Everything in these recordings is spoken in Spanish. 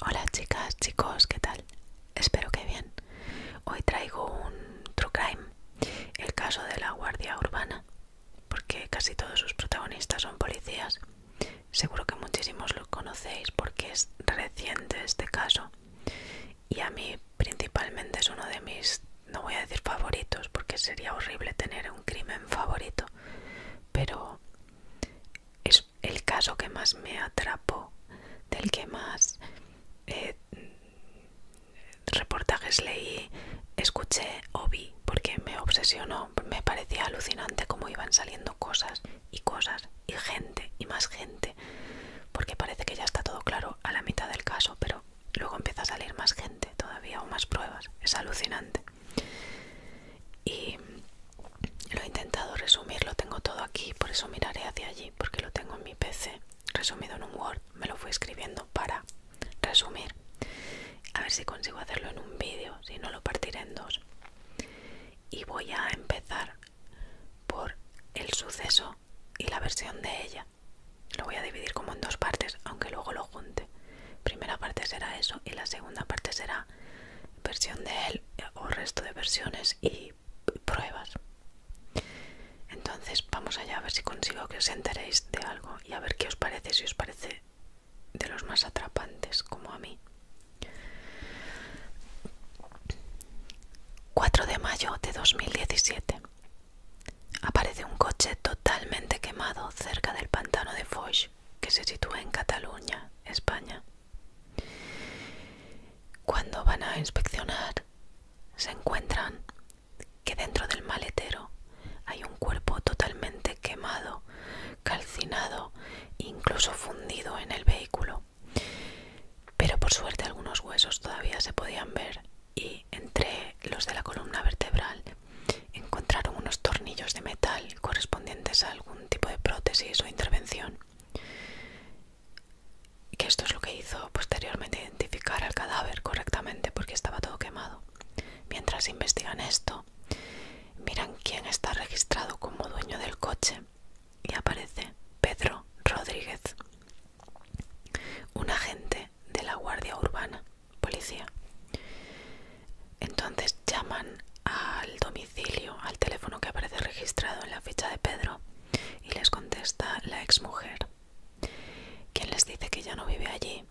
Hola chicas, chicos, ¿qué tal? Espero que bien. Hoy traigo un True Crime, el caso de la Guardia Urbana, porque casi todos sus protagonistas son policías. Seguro que muchísimos lo conocéis porque es reciente este caso y a mí principalmente es uno de mis, no voy a decir favoritos porque sería horrible tener un crimen favorito, pero es el caso que más me atrapó, del que más eh, reportajes leí, escuché o vi, porque me obsesionó, me parecía alucinante cómo iban saliendo cosas y cosas y gente y más gente, porque parece que ya está todo claro a la mitad del caso, pero luego empieza a salir más gente todavía o más pruebas, es alucinante. Y lo he intentado resumir, lo tengo todo aquí, por eso miraré hacia allí, porque lo tengo en mi PC, resumido en un Word, me lo fui escribiendo para resumir. A ver si consigo hacerlo en un vídeo, si no lo partiré en dos. Y voy a empezar por el suceso y la versión de ella. Lo voy a dividir como en dos partes, aunque luego lo junte. Primera parte será eso y la segunda parte será versión de él o resto de versiones y pruebas. Entonces vamos allá a ver si consigo que os enteréis de algo y a ver qué os parece, si os parece de los más atrapantes como a mí. 4 de mayo de 2017. Aparece un coche totalmente quemado cerca del pantano de Foix, que se sitúa en Cataluña, España. Cuando van a inspeccionar, se encuentran que dentro del maletero hay un cuerpo totalmente quemado, calcinado, incluso fundido en el vehículo. Pero por suerte algunos huesos todavía se podían ver y entre los de la columna vertebral encontraron unos tornillos de metal correspondientes a algún tipo de prótesis o intervención que esto es lo que hizo posteriormente identificar al cadáver correctamente porque estaba todo quemado. Mientras investigan esto, miran quién está registrado como dueño del coche y aparece Pedro Rodríguez, un agente de la Guardia Urbana, policía. Entonces llaman al domicilio, al teléfono que aparece registrado en la ficha de Pedro y les contesta la mujer quien les dice que ya no vive allí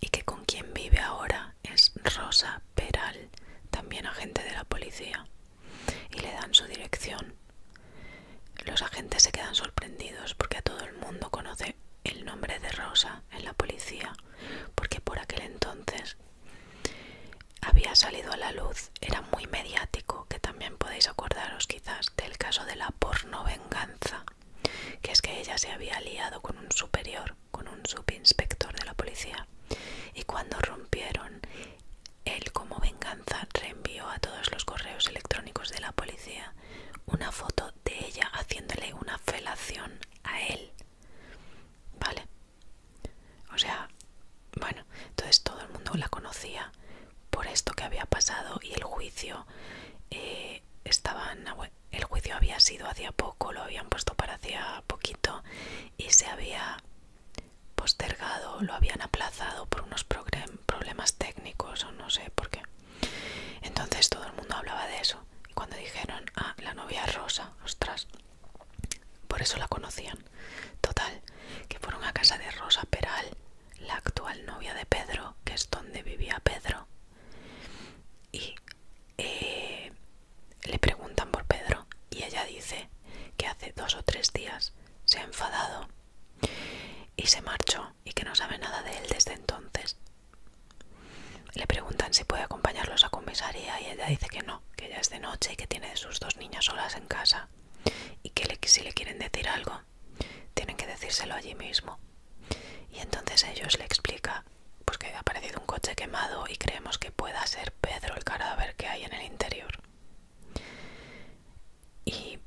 y que con quien vive ahora es Rosa Peral, también agente de la policía, y le dan su dirección. Los agentes se quedan sorprendidos porque a todo el mundo conoce el nombre de Rosa en la policía, porque por aquel entonces había salido a la luz, era muy mediático, que también podéis acordaros quizás del caso de la porno venganza, que es que ella se había liado con un superior, con un subinspector de la policía, y cuando rompieron, él como venganza reenvió a todos los correos electrónicos de la policía una foto de ella haciéndole una felación a él. Vale, o sea, bueno, entonces todo el mundo la conocía por esto que había pasado y el juicio eh, estaba el juicio había sido hacía poco, lo habían puesto para hacía poquito y se había postergado, lo habían aplazado por unos problemas técnicos o no sé por qué. Entonces todo el mundo hablaba de eso. Y cuando dijeron, a ah, la novia rosa, ostras, por eso la conocían. Total, que fueron a casa de Rosa Peral, la actual novia de Pedro, que es donde vivía Pedro. Y eh, le preguntan por Pedro y ella dice que hace dos o tres días se ha enfadado y se marchó y que no sabe nada de él desde entonces. Le preguntan si puede acompañarlos a comisaría y ella dice que no, que ella es de noche y que tiene sus dos niñas solas en casa y que si le quieren decir algo, tienen que decírselo allí mismo. Y entonces ellos le explica pues que ha aparecido un coche quemado y creemos que pueda ser Pedro el cadáver que hay en el interior. Y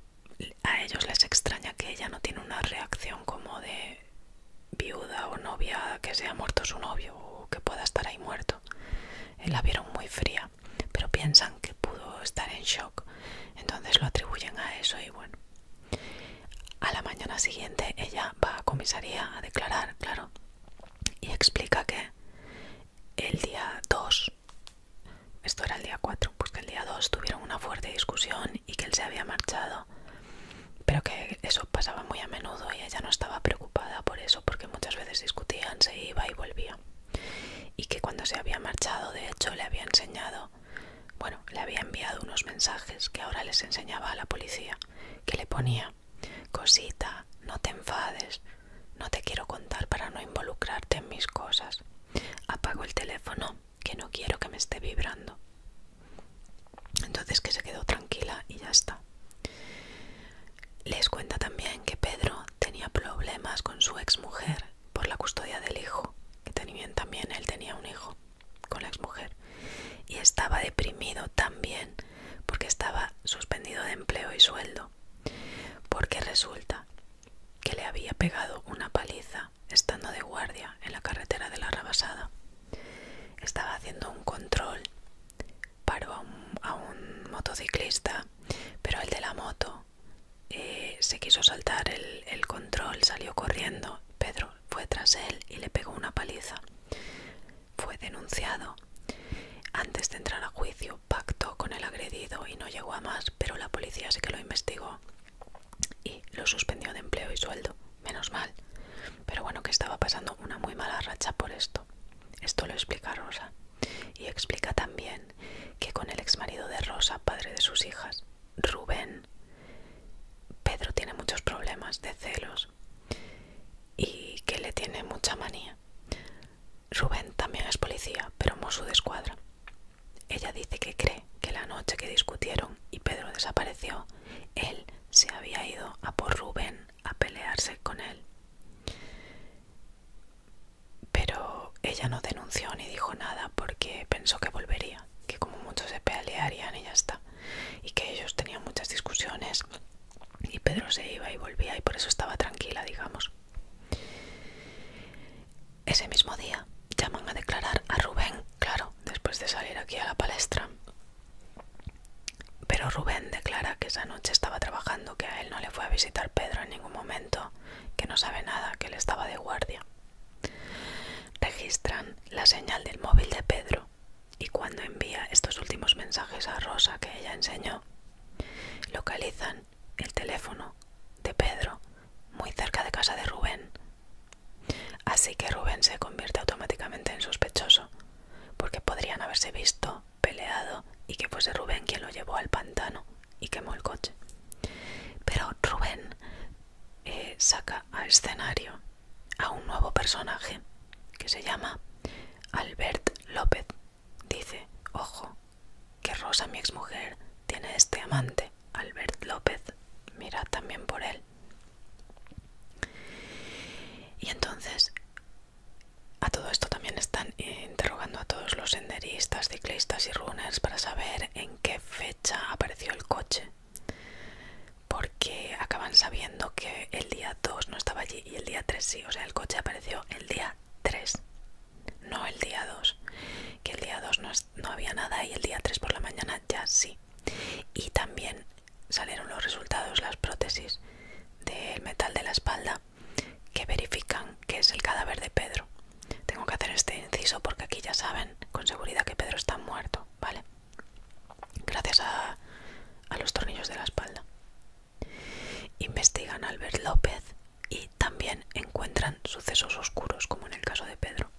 a ellos les extraña que ella no tiene una reacción como de viuda o novia que sea muerto su novio o que pueda estar ahí muerto. Eh, la vieron muy fría, pero piensan que pudo estar en shock, entonces lo atribuyen a eso y bueno. A la mañana siguiente ella va a comisaría a declarar, claro, y explica que el día 2, esto era el día 4, pues que el día 2 tuvieron una fuerte discusión y que él se había marchado, pero que eso pasaba muy a menudo y ella no estaba preocupada por eso porque muchas veces discutían, se iba y volvía. Y que cuando se había marchado, de hecho, le había enseñado, bueno, le había enviado unos mensajes que ahora les enseñaba a la policía, que le ponía, cosita, no te enfades, no te quiero contar para no involucrarte en mis cosas. Apago el teléfono, que no quiero que me esté vibrando. Entonces que se quedó tranquila y ya está. Les cuenta también que Pedro tenía problemas con su exmujer por la custodia del hijo, que también, también él tenía un hijo con la exmujer, y estaba deprimido también porque estaba suspendido de empleo y sueldo, porque resulta que le había pegado una paliza estando de guardia en la carretera de la Rabasada. Estaba haciendo un control paró a un, motociclista, pero el de la moto eh, se quiso saltar el, el control, salió corriendo. Pedro fue tras él y le pegó una paliza. Fue denunciado. Antes de entrar a juicio, pactó con el agredido y no llegó a más, pero la policía sí que lo investigó y lo suspendió de empleo y sueldo. Menos mal. Pero bueno, que estaba pasando una muy mala racha por esto. Esto lo explica Rosa. Y explica también que con el exmarido de Rosa, padre de sus hijas, Rubén, Pedro tiene muchos problemas de celos y que le tiene mucha manía. Rubén también es policía, pero Mosu de escuadra. Ella dice que cree que la noche que discutieron y Pedro desapareció, él se había ido a por Rubén a pelearse con él. Pero ella no denunció ni dijo nada porque pensó que volvería, que como muchos se pelearían y ya está. Y que ellos tenían muchas discusiones y Pedro se iba y volvía y por eso estaba tranquila, digamos. Ese mismo día llaman a declarar a Rubén, claro, después de salir aquí a la palestra. Pero Rubén declara que esa noche estaba trabajando, que a él no le fue a visitar Pedro en ningún momento, que no sabe nada, que él estaba de guardia. Registran la señal del móvil de Pedro y cuando envía estos últimos mensajes a Rosa que ella enseñó, localizan el teléfono de Pedro muy cerca de casa de Rubén. Así que Rubén se convierte automáticamente en sospechoso, porque podrían haberse visto peleado y que fuese Rubén quien lo llevó al pantano y quemó el coche. Pero Rubén eh, saca a escenario a un nuevo personaje que se llama Albert López. Dice, ojo, que Rosa, mi exmujer, tiene este amante, Albert López. Mira también por él. Y entonces a todo esto también están eh, interrogando a todos los senderistas, ciclistas y runners para saber en qué fecha apareció el coche. Porque acaban sabiendo que el día 2 no estaba allí y el día 3 sí. O sea, el coche apareció el día 3, no el día 2. Que el día 2 no, había nada y el día 3 por la mañana ya sí. Y también salieron los resultados, las prótesis del metal de la espalda que verifican que es el cadáver de Pedro. Tengo que hacer este inciso porque aquí ya saben con seguridad que Pedro está muerto, ¿vale? Gracias a, los tornillos de la espalda. Investigan Albert López y también encuentran sucesos oscuros, como en el caso de Pedro.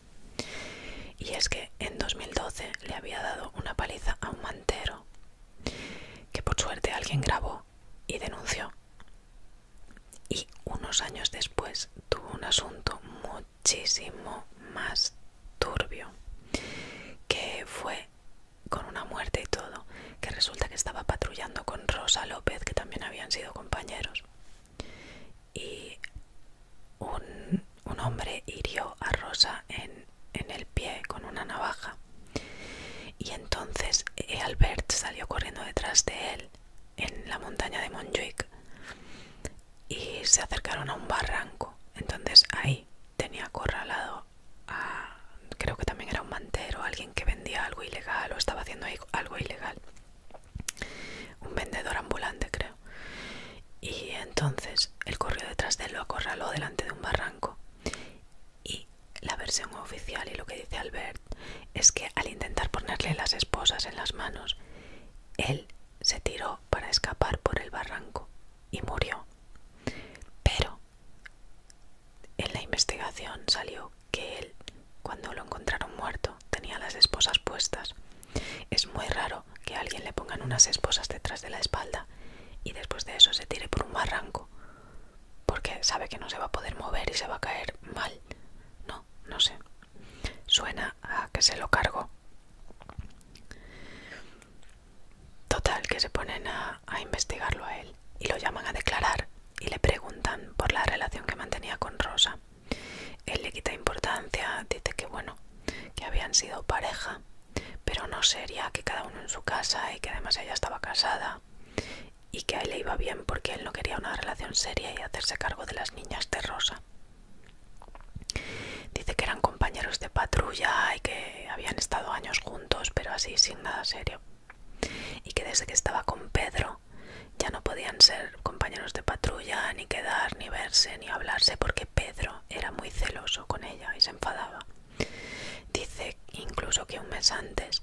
Y es que en 2012 le había dado una paliza a un mantero que por suerte alguien grabó y denunció. Y unos años después tuvo un asunto muchísimo más turbio, que fue con una muerte y todo, que resulta que estaba patrullando con Rosa López, que también habían sido compañeros. Y un, hombre hirió a Rosa en en el pie con una navaja. Y entonces eh, Albert salió corriendo detrás de él en la montaña de Montjuic y se acercaron a un barranco. Entonces ahí tenía acorralado a, creo que también era un mantero, alguien que vendía algo ilegal o estaba haciendo algo ilegal. Un vendedor ambulante, creo. Y entonces él corrió detrás de él, lo acorraló delante de un barranco y la versión oficial y lo que dice Albert es que al intentar ponerle las esposas en las manos, él se tiró para escapar por el barranco y murió. Pero en la investigación salió que él, cuando lo encontraron muerto, tenía las esposas puestas. Es muy raro que alguien le pongan unas esposas detrás de la espalda y después de eso se tire por un barranco porque sabe que no se va a poder mover y se va a caer mal. No, no sé. Suena a que se lo cargo. Total, que se ponen a, investigarlo a él y lo llaman a declarar y le preguntan por la relación que mantenía con Rosa. Él le quita importancia, dice que bueno, que habían sido pareja pero no sería que cada uno en su casa y que además ella estaba casada y que a él le iba bien porque él no quería una relación seria y hacerse cargo de las niñas de Rosa. Dice que eran compañeros de patrulla y que habían estado años juntos, pero así sin nada serio. Y que desde que estaba con Pedro ya no podían ser compañeros de patrulla, ni quedar, ni verse, ni hablarse, porque Pedro era muy celoso con ella y se enfadaba. Dice incluso que un mes antes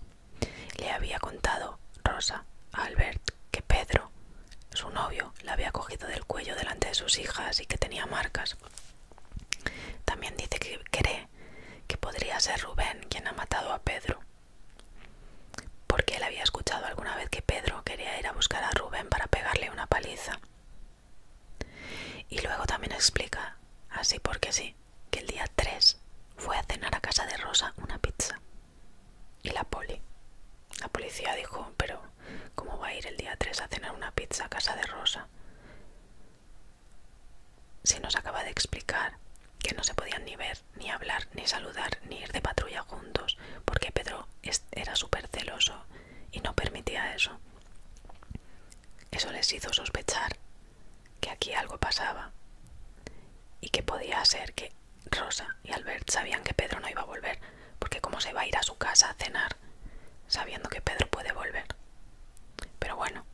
le había contado Rosa a Albert que Pedro, su novio, la había cogido del cuello delante de sus hijas y que tenía marcas. También dice que cree que podría ser Rubén quien ha matado a Pedro, porque él había escuchado alguna vez que Pedro quería ir a buscar a Rubén para pegarle una paliza. Y luego también explica, así porque sí, que el día 3 fue a cenar a casa de Rosa una pizza. Y la poli. La policía dijo, pero ¿cómo va a ir el día 3 a cenar una pizza a casa de Rosa? Se nos acaba de explicar que no se podían ni ver, ni hablar, ni saludar, ni ir de patrulla juntos, porque Pedro era súper celoso y no permitía eso. Eso les hizo sospechar que aquí algo pasaba y que podía ser que Rosa y Albert sabían que Pedro no iba a volver, porque cómo se va a ir a su casa a cenar sabiendo que Pedro puede volver. Pero bueno,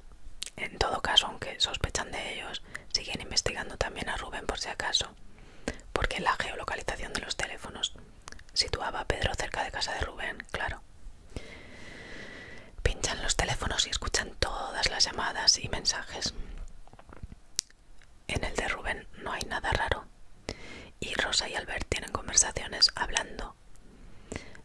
en todo caso, aunque sospechan de ellos, siguen investigando también a Rubén por si acaso, porque la geolocalización de los teléfonos situaba a Pedro cerca de casa de Rubén, claro. Pinchan los teléfonos y escuchan todas las llamadas y mensajes. En el de Rubén no hay nada raro. Y Rosa y Albert tienen conversaciones hablando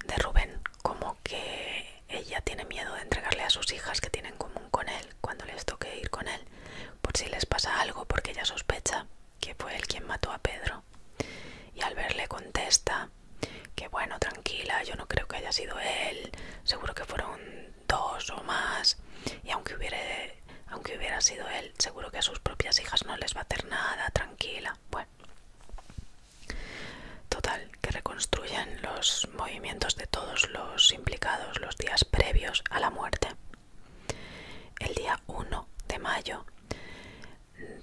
de Rubén, como que ella tiene miedo de entregarle a sus hijas que tienen común con él cuando les toque ir con él, por si les pasa algo, porque ella sospecha que fue él quien mató a Pedro. Y Albert le contesta que bueno, tranquila, yo no creo que haya sido él, seguro que fueron dos o más, y aunque hubiera, aunque hubiera sido él, seguro que a sus propias hijas no les va a hacer nada, tranquila, bueno. Total, que reconstruyen los movimientos de todos los implicados los días previos a la muerte. El día 1 de mayo,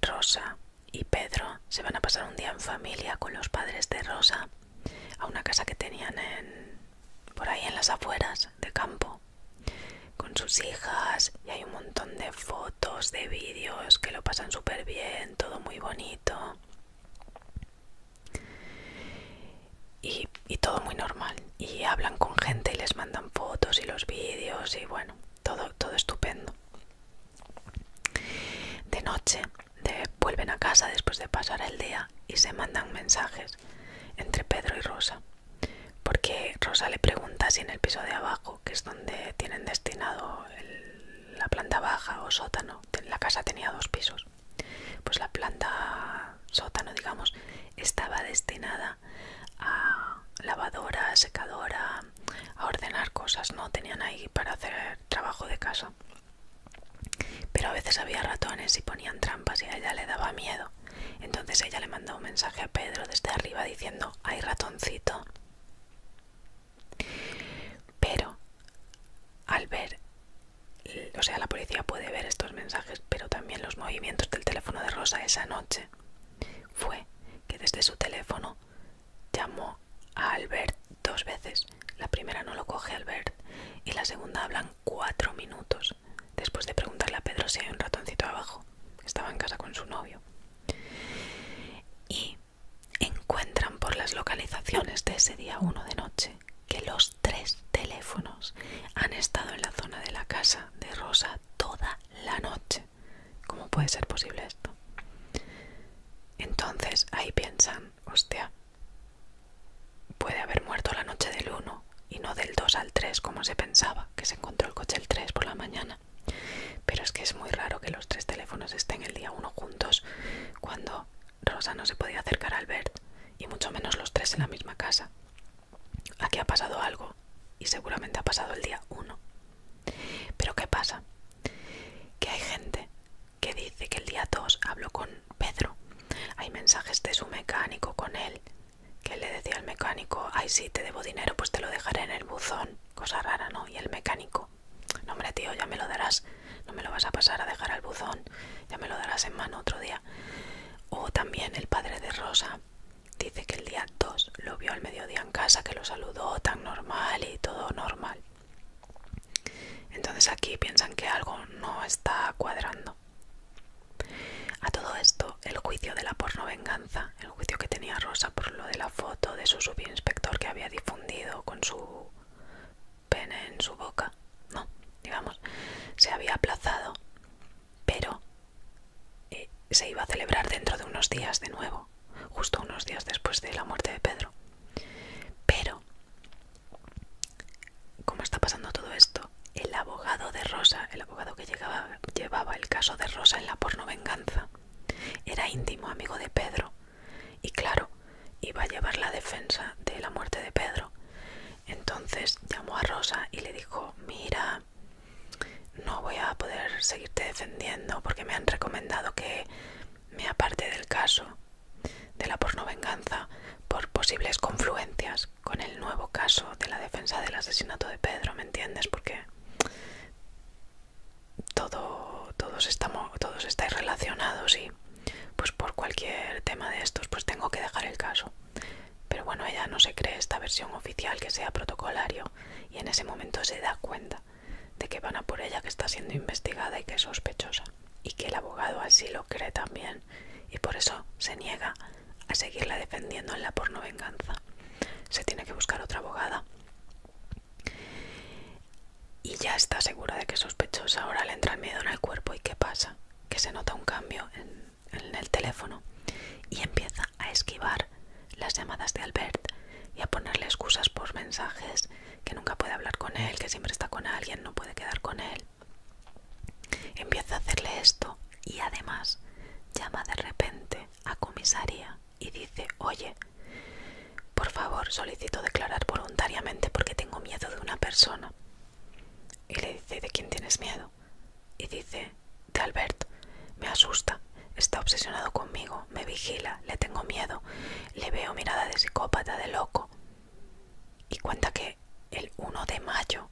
Rosa y Pedro se van a pasar un día en familia con los padres de Rosa a una casa que tenían en, por ahí en las afueras de campo con sus hijas y hay un montón de fotos, de vídeos que lo pasan súper bien, todo muy bonito y, y todo muy normal y hablan con gente y les mandan fotos y los vídeos y bueno, todo, todo estupendo. De noche vuelven a casa después de pasar el día y se mandan mensajes entre Pedro y Rosa, porque Rosa le pregunta si en el piso de abajo, que es donde tienen destinado la planta baja o sótano, la casa tenía dos pisos, pues la planta sótano, digamos, estaba destinada a lavadora, secadora, a, ordenar cosas, ¿no? Tenían ahí para hacer trabajo de casa. Pero a veces había ratones y ponían trampas y a ella le daba miedo. Entonces ella le mandó un mensaje a Pedro desde arriba diciendo, hay ratoncito. Pero al ver, o sea, la policía puede ver estos mensajes, pero también los movimientos del teléfono de Rosa esa noche. Fue que desde su teléfono Llamó a Albert dos veces. La primera no lo coge Albert y la segunda hablan cuatro minutos, después de preguntarle a Pedro si hay un ratoncito abajo. Estaba en casa con su novio. Y encuentran por las localizaciones de ese día uno de noche que los tres teléfonos han estado en la zona de la casa de Rosa toda la noche. ¿Cómo puede ser posible esto? Entonces ahí piensan, hostia, puede haber muerto la noche del 1 y no del 2 al 3 como se pensaba, que se encontró el coche el 3 por la mañana. Pero es que es muy raro que los tres teléfonos estén el día 1 juntos cuando Rosa no se podía acercar al Bert y mucho menos los tres en la misma casa. Aquí ha pasado algo y seguramente ha pasado el día 1. Pero ¿qué pasa? Que hay gente que dice que el día 2 habló con Pedro. Hay mensajes de su mecánico con él, que le decía al mecánico, ay, sí te debo dinero, pues te lo dejaré en el buzón. Cosa rara, ¿no? Y el mecánico, no hombre, tío, ya me lo darás. No me lo vas a pasar a dejar al buzón. Ya me lo darás en mano otro día. O también el padre de Rosa dice que el día 2 lo vio al mediodía en casa, que lo saludó tan normal y todo normal. Entonces aquí piensan que algo no está cuadrando. A todo esto, el juicio de la porno venganza, el juicio que tenía Rosa por lo de la foto de su subinspector que había difundido con su pene en su boca, no, digamos, se había aplazado, pero eh, se iba a celebrar dentro de unos días de nuevo justo unos días después de la muerte de Pedro. Pero, cómo está pasando todo esto, el abogado de Rosa, el abogado que llevaba el caso de Rosa en la porno venganza, era íntimo amigo de Pedro. Y claro, iba a llevar la defensa de la muerte de Pedro. Entonces llamó a Rosa y le dijo, mira, no voy a poder seguirte defendiendo porque me han recomendado que me aparte del caso de la pornovenganza por posibles confluencias con el nuevo caso de la defensa del asesinato de Pedro, ¿me entiendes? Porque todo, todos, estamos, todos estáis relacionados y pues por cualquier tema de estos pues tengo que dejar el caso. Pero bueno, ella no se cree esta versión oficial que sea protocolario y en ese momento se da cuenta de que van a por ella, que está siendo investigada y que es sospechosa. Y que el abogado así lo cree también y por eso se niega a seguirla defendiendo en la porno venganza. Se tiene que buscar otra abogada. Y ya está segura de que es sospechosa. Ahora le entra el miedo en el cuerpo y ¿qué pasa? Que se nota un cambio en el teléfono y empieza a esquivar las llamadas de Albert y a ponerle excusas por mensajes que nunca puede hablar con él, que siempre está con alguien, no puede quedar con él. Empieza a hacerle esto y además llama de repente a comisaría y dice, oye, por favor solicito declarar voluntariamente porque tengo miedo de una persona. Y le dice, ¿de quién tienes miedo? Y dice, de Alberto. me asusta, está obsesionado conmigo, me vigila, le tengo miedo, le veo mirada de psicópata, de loco. Y cuenta que el 1 de mayo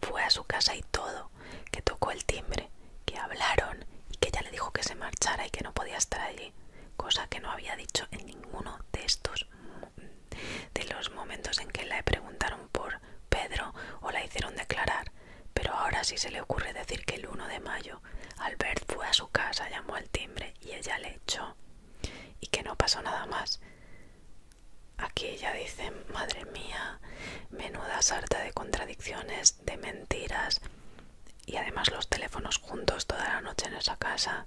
fue a su casa y todo, que tocó el timbre, que hablaron y que ella le dijo que se marchara y que no podía estar allí, cosa que no había dicho en ninguno de estos de los momentos en que la preguntaron por Pedro o la hicieron declarar, pero ahora sí se le ocurre decir que el 1 de mayo Albert fue a su casa, llamó al timbre y ella le echó. Y que no pasó nada más. Aquí ella dice, madre mía, menuda sarta de contradicciones, de mentiras. Y además los teléfonos juntos toda la noche en esa casa.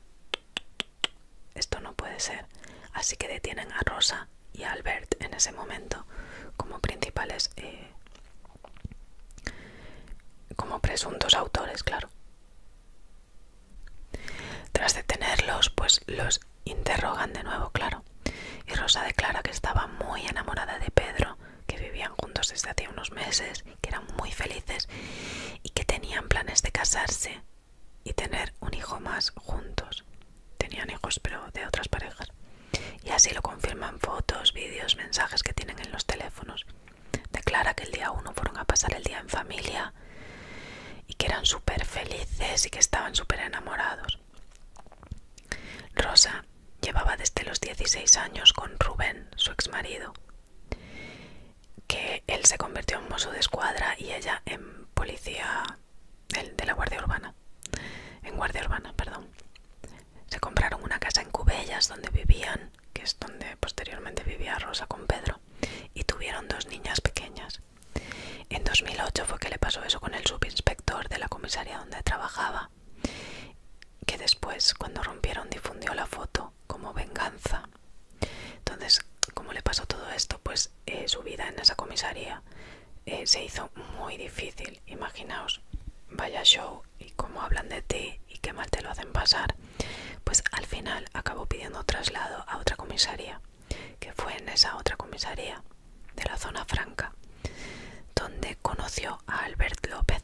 Esto no puede ser. Así que detienen a Rosa y a Albert en ese momento como principales... Eh, como presuntos autores, claro. Tras detenerlos, pues los interrogan de nuevo, claro. Y Rosa declara que estaba muy enamorada de Pedro, que vivían juntos desde hace unos meses, que eran muy felices y que tenían planes de casarse y tener un hijo más juntos. Tenían hijos, pero de otras parejas. Y así lo confirman fotos, vídeos, mensajes que tienen en los teléfonos. Declara que el día 1 fueron a pasar el día en familia y que eran súper felices y que estaban súper enamorados. Rosa llevaba desde los 16 años con Rubén, su exmarido, que él se convirtió en mozo de escuadra y ella en policía de, de la Guardia Urbana. En Guardia Urbana, perdón. Se compraron una casa en Cubellas donde vivían que es donde posteriormente vivía Rosa con Pedro, y tuvieron dos niñas pequeñas. En 2008 fue que le pasó eso con el subinspector de la comisaría donde trabajaba, que después, cuando rompieron, difundió la foto como venganza. Entonces, como le pasó todo esto, pues eh, su vida en esa comisaría eh, se hizo muy difícil. Imaginaos, vaya show y cómo hablan de ti y qué mal te lo hacen pasar, pues al final acabó pidiendo traslado a otra comisaría, que fue en esa otra comisaría de la zona franca, donde conoció a Albert López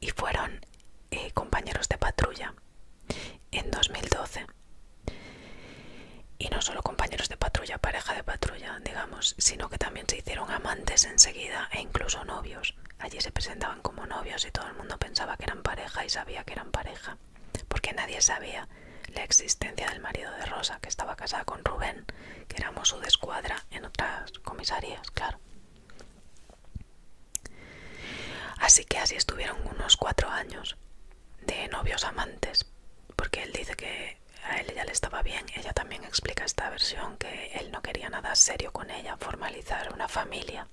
y fueron eh, compañeros de patrulla en 2012. Y no solo compañeros de patrulla, pareja de patrulla, digamos, sino que también se hicieron amantes enseguida e incluso novios. Allí se presentaban como novios y todo el mundo pensaba que eran pareja y sabía que eran pareja, porque nadie sabía la existencia del marido de Rosa, que estaba casada con Rubén, que éramos su de escuadra en otras comisarías, claro. Así que así estuvieron unos cuatro años de novios amantes, porque él dice que a él ya le estaba bien. Ella también explica esta versión que él no quería nada serio con ella, formal una familia.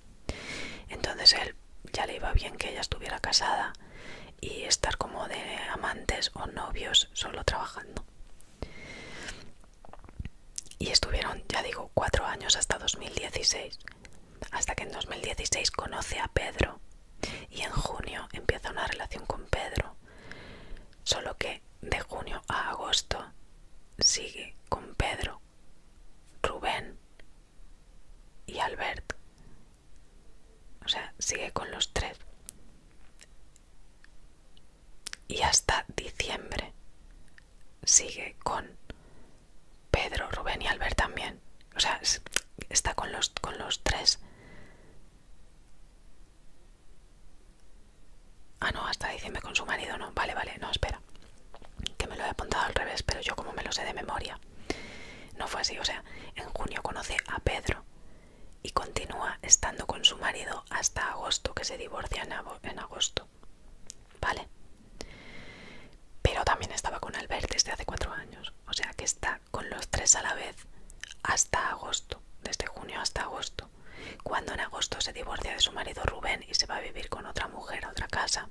Entonces él ya le iba bien que ella estuviera casada y estar como de amantes o novios solo trabajando. Y estuvieron, ya digo, cuatro años hasta 2016, hasta que en 2016 conoce a Pedro y en junio empieza una relación con Pedro, solo que de junio a agosto sigue con Pedro Rubén y Albert. O sea, sigue con los tres. Y hasta diciembre sigue con Pedro, Rubén y Albert también. O sea, está con los, con los tres. Ah, no, hasta diciembre con su marido, no. Vale, vale, no, espera. Que me lo he apuntado al revés, pero yo como me lo sé de memoria. No fue así, o sea, en junio conoce a Pedro y continúa estando con su marido hasta agosto, que se divorcia en agosto. Vale. Pero también estaba con Albert desde hace cuatro años. O sea que está con los tres a la vez hasta agosto, desde junio hasta agosto. Cuando en agosto se divorcia de su marido Rubén y se va a vivir con otra mujer a otra casa,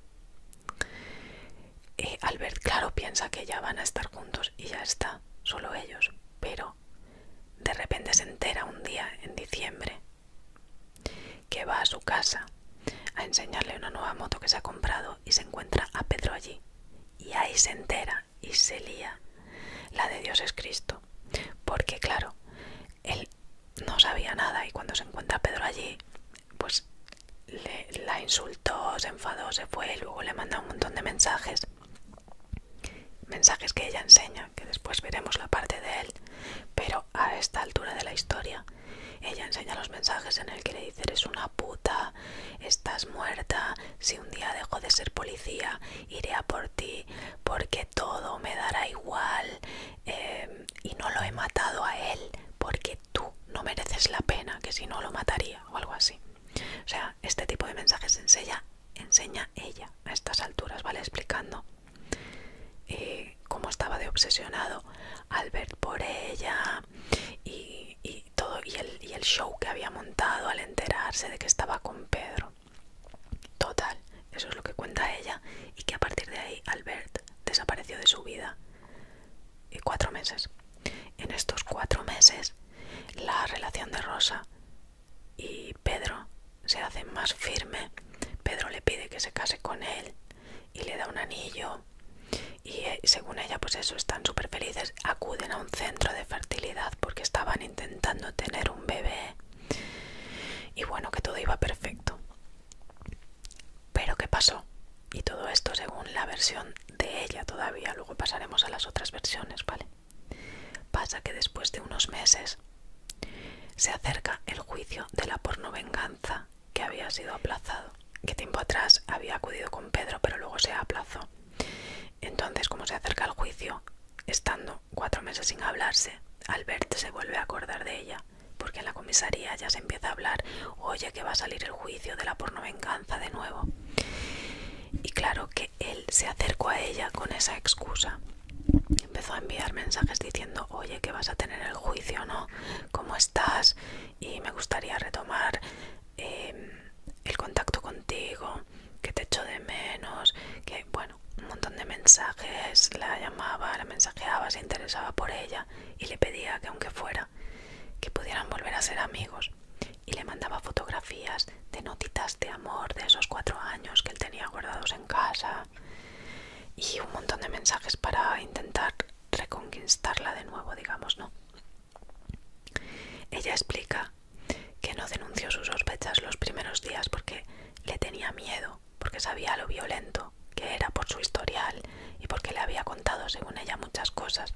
eh, Albert, claro, piensa que ya van a estar juntos y ya está, solo ellos. Pero de repente se entera un día en diciembre que va a su casa a enseñarle una nueva moto que se ha comprado y se encuentra a Pedro allí. Y ahí se entera y se lía. La de Dios es Cristo. Porque claro, él no sabía nada y cuando se encuentra Pedro allí, pues la insultó, se enfadó, se fue y luego le manda un montón de mensajes. Mensajes que ella enseña, que después veremos la parte de él, pero a esta altura de la historia, ella enseña los mensajes en el que le dice eres una puta, estás muerta, si un día dejo de ser policía, iré a por ti, porque todo me dará igual em, y no lo he matado a él porque tú no mereces la pena, que si no lo mataría o algo así. O sea, este tipo de mensajes enseña, enseña ella a estas alturas, ¿vale? Explicando eh, cómo estaba de obsesionado Albert por ella y, todo, y el show que había montado al enterarse de que estaba con Pedro. Total, eso es lo que cuenta ella, y que a partir de ahí Albert desapareció de su vida. Y cuatro meses. En estos cuatro meses, la relación de Rosa y Pedro se hace más firme. Pedro le pide que se case con él y le da un anillo. Y eh, según ella, pues eso, están súper felices. Acuden a un centro de fertilidad porque estaban intentando tener un bebé. Y bueno, que todo iba perfecto. Pero ¿qué pasó? Y todo esto según la versión de ella todavía, luego pasaremos a las otras versiones, ¿vale? Pasa que después de unos meses se acerca el juicio de la venganza que había sido aplazado, que tiempo atrás había acudido con Pedro, pero luego se aplazó. Entonces, como se acerca el juicio, estando cuatro meses sin hablarse, Albert se vuelve a acordar de ella, porque en la comisaría ya se empieza a hablar, oye que va a salir el juicio de la pornovenganza de nuevo. Y claro que él se acercó a ella con esa excusa. Empezó a enviar mensajes diciendo, oye que vas a tener el juicio, ¿no? ¿Cómo estás? Y me gustaría retomar eh, el contacto contigo, que te echo de menos, que... Bueno, un montón de mensajes, la llamaba, la mensajeaba, se interesaba por ella y le pedía que aunque fuera, que pudieran volver a ser amigos. Y le mandaba fotografías de notitas de amor de esos cuatro años que él tenía guardados en casa y un montón de mensajes para intentar reconquistarla de nuevo, digamos, ¿no? Ella explica que no denunció sus sospechas los primeros días porque le tenía miedo porque sabía lo violento que era por su historial y porque le había contado, según ella, muchas cosas,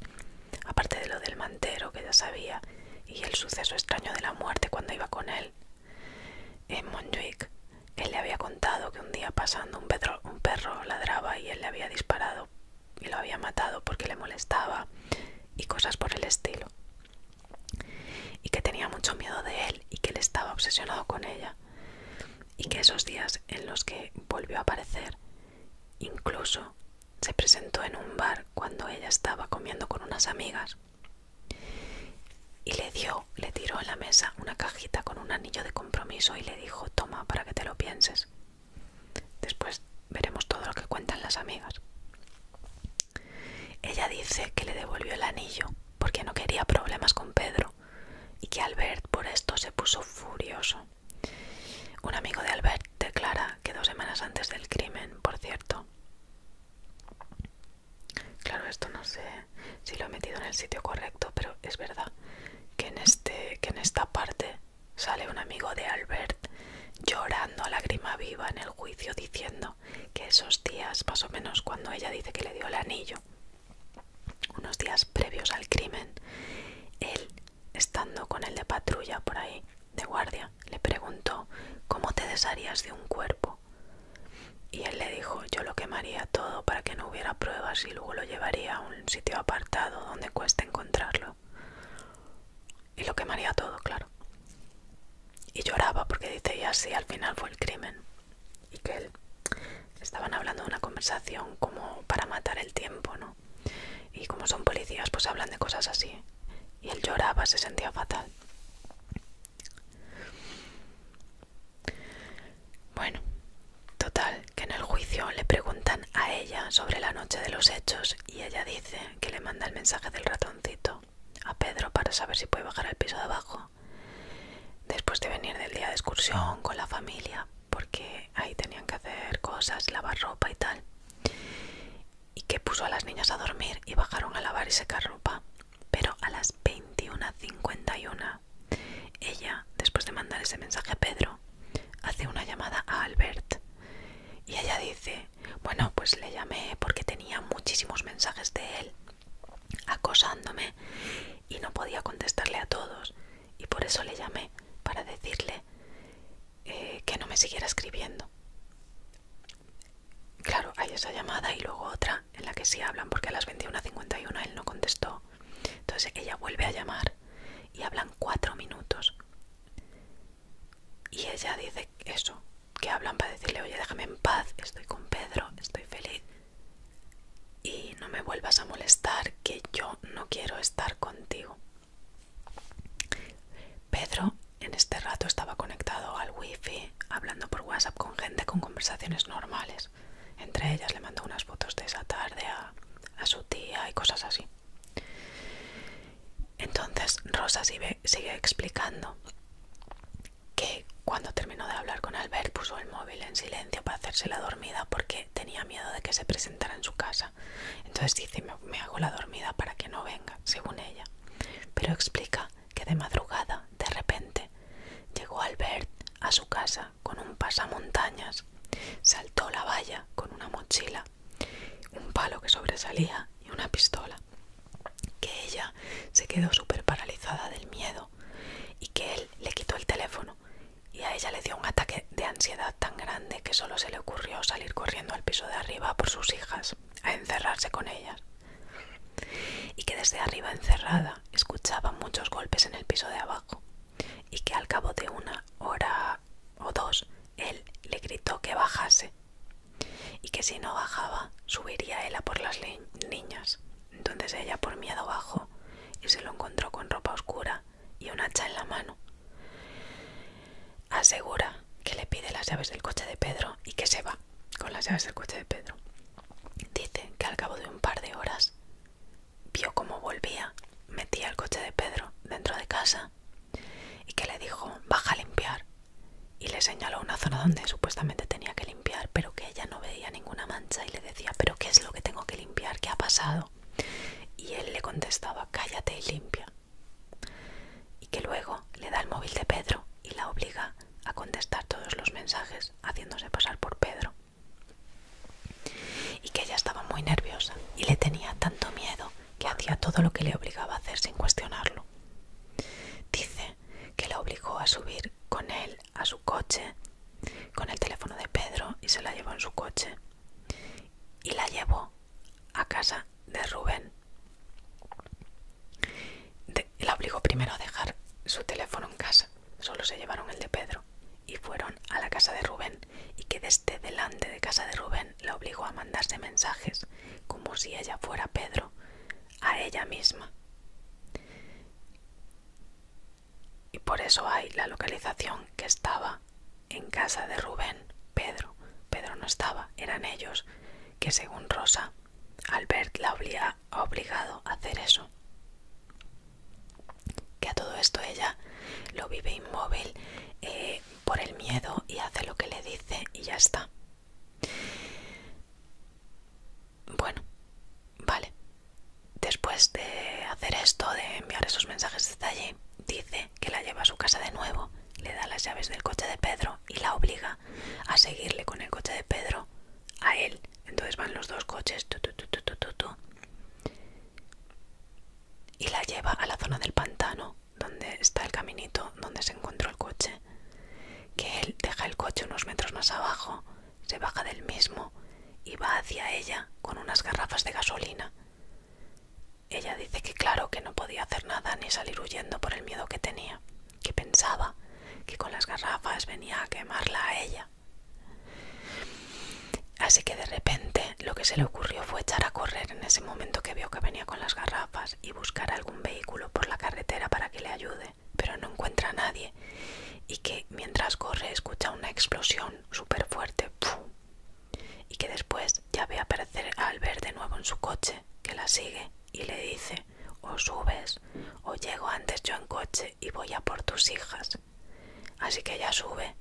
aparte de lo del mantero que ya sabía y el suceso extraño de la muerte cuando iba con él. En Montjuic, él le había contado que un día pasando un perro ladraba y él le había disparado y lo había matado porque le molestaba y cosas por el estilo. Y que tenía mucho miedo de él y que él estaba obsesionado con ella y que esos días en los que volvió a aparecer incluso se presentó en un bar cuando ella estaba comiendo con unas amigas y le dio, le tiró a la mesa una cajita con un anillo de compromiso y le dijo toma para que te lo pienses. Después veremos todo lo que cuentan las amigas. Ella dice que le devolvió el anillo porque no quería problemas con Pedro y que Albert por esto se puso furioso. Un amigo de Albert declara que dos semanas antes del crimen, por cierto. Claro, esto no sé si lo he metido en el sitio correcto, pero es verdad que en, este, que en esta parte sale un amigo de Albert llorando a lágrima viva en el juicio diciendo que esos días, más o menos cuando ella dice que le dio el anillo, unos días previos al crimen, él, estando con el de patrulla por ahí, de guardia, le preguntó cómo te desharías de un cuerpo. Y él le dijo, yo lo quemaría todo para que no hubiera pruebas y luego lo llevaría a un sitio apartado donde cueste encontrarlo. Y lo quemaría todo, claro. Y lloraba porque dice, y así al final fue el crimen y que él estaban hablando de una conversación como para matar el tiempo, ¿no? Y como son policías, pues hablan de cosas así. Y él lloraba, se sentía fatal. Bueno, total, que en el juicio le preguntan a ella sobre la noche de los hechos y ella dice que le manda el mensaje del ratoncito a Pedro para saber si puede bajar al piso de abajo después de venir del día de excursión con la familia, porque ahí tenían que hacer cosas, lavar ropa y tal, y que puso a las niñas a dormir y bajaron a lavar y secar ropa. Pero a las 21.51, ella, después de mandar ese mensaje a Pedro, hace una llamada a Albert. Y ella dice, bueno, pues le llamé porque tenía muchísimos mensajes de él acosándome y no podía contestarle a todos y por eso le llamé para decirle eh, que no me siguiera escribiendo. Claro, hay esa llamada y luego otra en la que sí hablan porque a las 21.51 él no contestó. Entonces ella vuelve a llamar y hablan cuatro minutos. Y ella dice eso, que hablan para decirle, oye, déjame en paz, estoy con Pedro, estoy feliz y no me vuelvas a molestar que yo no quiero estar contigo. Pedro en este rato estaba conectado al wifi hablando por WhatsApp con gente con conversaciones normales. Entre ellas le mandó unas fotos de esa tarde a, su tía y cosas así. Entonces Rosa sigue explicando que cuando terminó de hablar con Albert puso el móvil en silencio para hacerse la dormida porque tenía miedo de que se presentara en su casa. Entonces dice, me, hago la dormida para que no venga, según ella. Pero explica que de madrugada, de repente, llegó Albert a su casa con un pasamontañas, saltó la valla con una mochila, un palo que sobresalía y una pistola, que ella se quedó súper paralizada del miedo y que él le quitó el teléfono y a ella le dio un ataque de ansiedad tan grande que solo se le ocurrió salir corriendo al piso de arriba por sus hijas, a encerrarse con ellas. Y que desde arriba encerrada escuchaba muchos golpes en el piso de abajo y que al cabo de una hora o dos él le gritó que bajase y que si no bajaba subiría ella por las niñas entonces ella por miedo bajó y se lo encontró con ropa oscura y un hacha en la mano. Asegura que le pide las llaves del coche de Pedro y que se va con las llaves del coche de Pedro. Dice que al cabo de un par de horas vio cómo volvía, metía el coche de Pedro dentro de casa y que le dijo baja a limpiar y le señaló una zona donde supuestamente tenía que limpiar pero que ella no veía ninguna mancha y le decía, pero ¿qué es lo que tengo que limpiar? ¿Qué ha pasado? Y él le contestaba, cállate y limpia. Y que luego le da el móvil de Pedro y la obliga a contestar todos los mensajes haciéndose pasar por Pedro. Y que ella estaba muy nerviosa y le tenía tanto miedo que hacía todo lo que le obligaba a hacer sin cuestionarlo. Dice que la obligó a subir con él a su coche con el teléfono de Pedro y se la llevó en su coche y la llevó a casa de Rubén. la obligó primero a dejar su teléfono en casa, solo se llevaron el de Pedro y fueron a la casa de Rubén y que desde delante de casa de Rubén la obligó a mandarse mensajes como si ella fuera Pedro a ella misma y por eso hay la localización que estaba en casa de Rubén, Pedro. Pedro no estaba, eran ellos, que según Rosa, Albert la había obligado a hacer eso. Que a todo esto ella lo vive inmóvil eh, por el miedo y hace lo que le dice y ya está. Bueno, vale. Después de hacer esto, de enviar esos mensajes desde allí, dice que la lleva a su casa de nuevo, le da las llaves del coche de Pedro y la obliga a seguirle con el coche de Pedro a él. Entonces van los dos coches tu, y la lleva a la zona del pantano, donde está el caminito donde se encontró el coche. Que él deja el coche unos metros más abajo se baja del mismo y va hacia ella con unas garrafas de gasolina. Ella dice que claro que no podía hacer nada ni salir huyendo por el miedo que tenía, que pensaba que con las garrafas venía a quemarla a ella. Así que de repente lo que se le ocurrió fue echar a correr en ese momento que vio que venía con las garrafas y buscar algún vehículo por la carretera para que le ayude pero no encuentra a nadie y que mientras corre escucha una explosión súper fuerte y que después ya ve aparecer a Albert de nuevo en su coche que la sigue y le dice o subes o llego antes yo en coche y voy a por tus hijas así que ella sube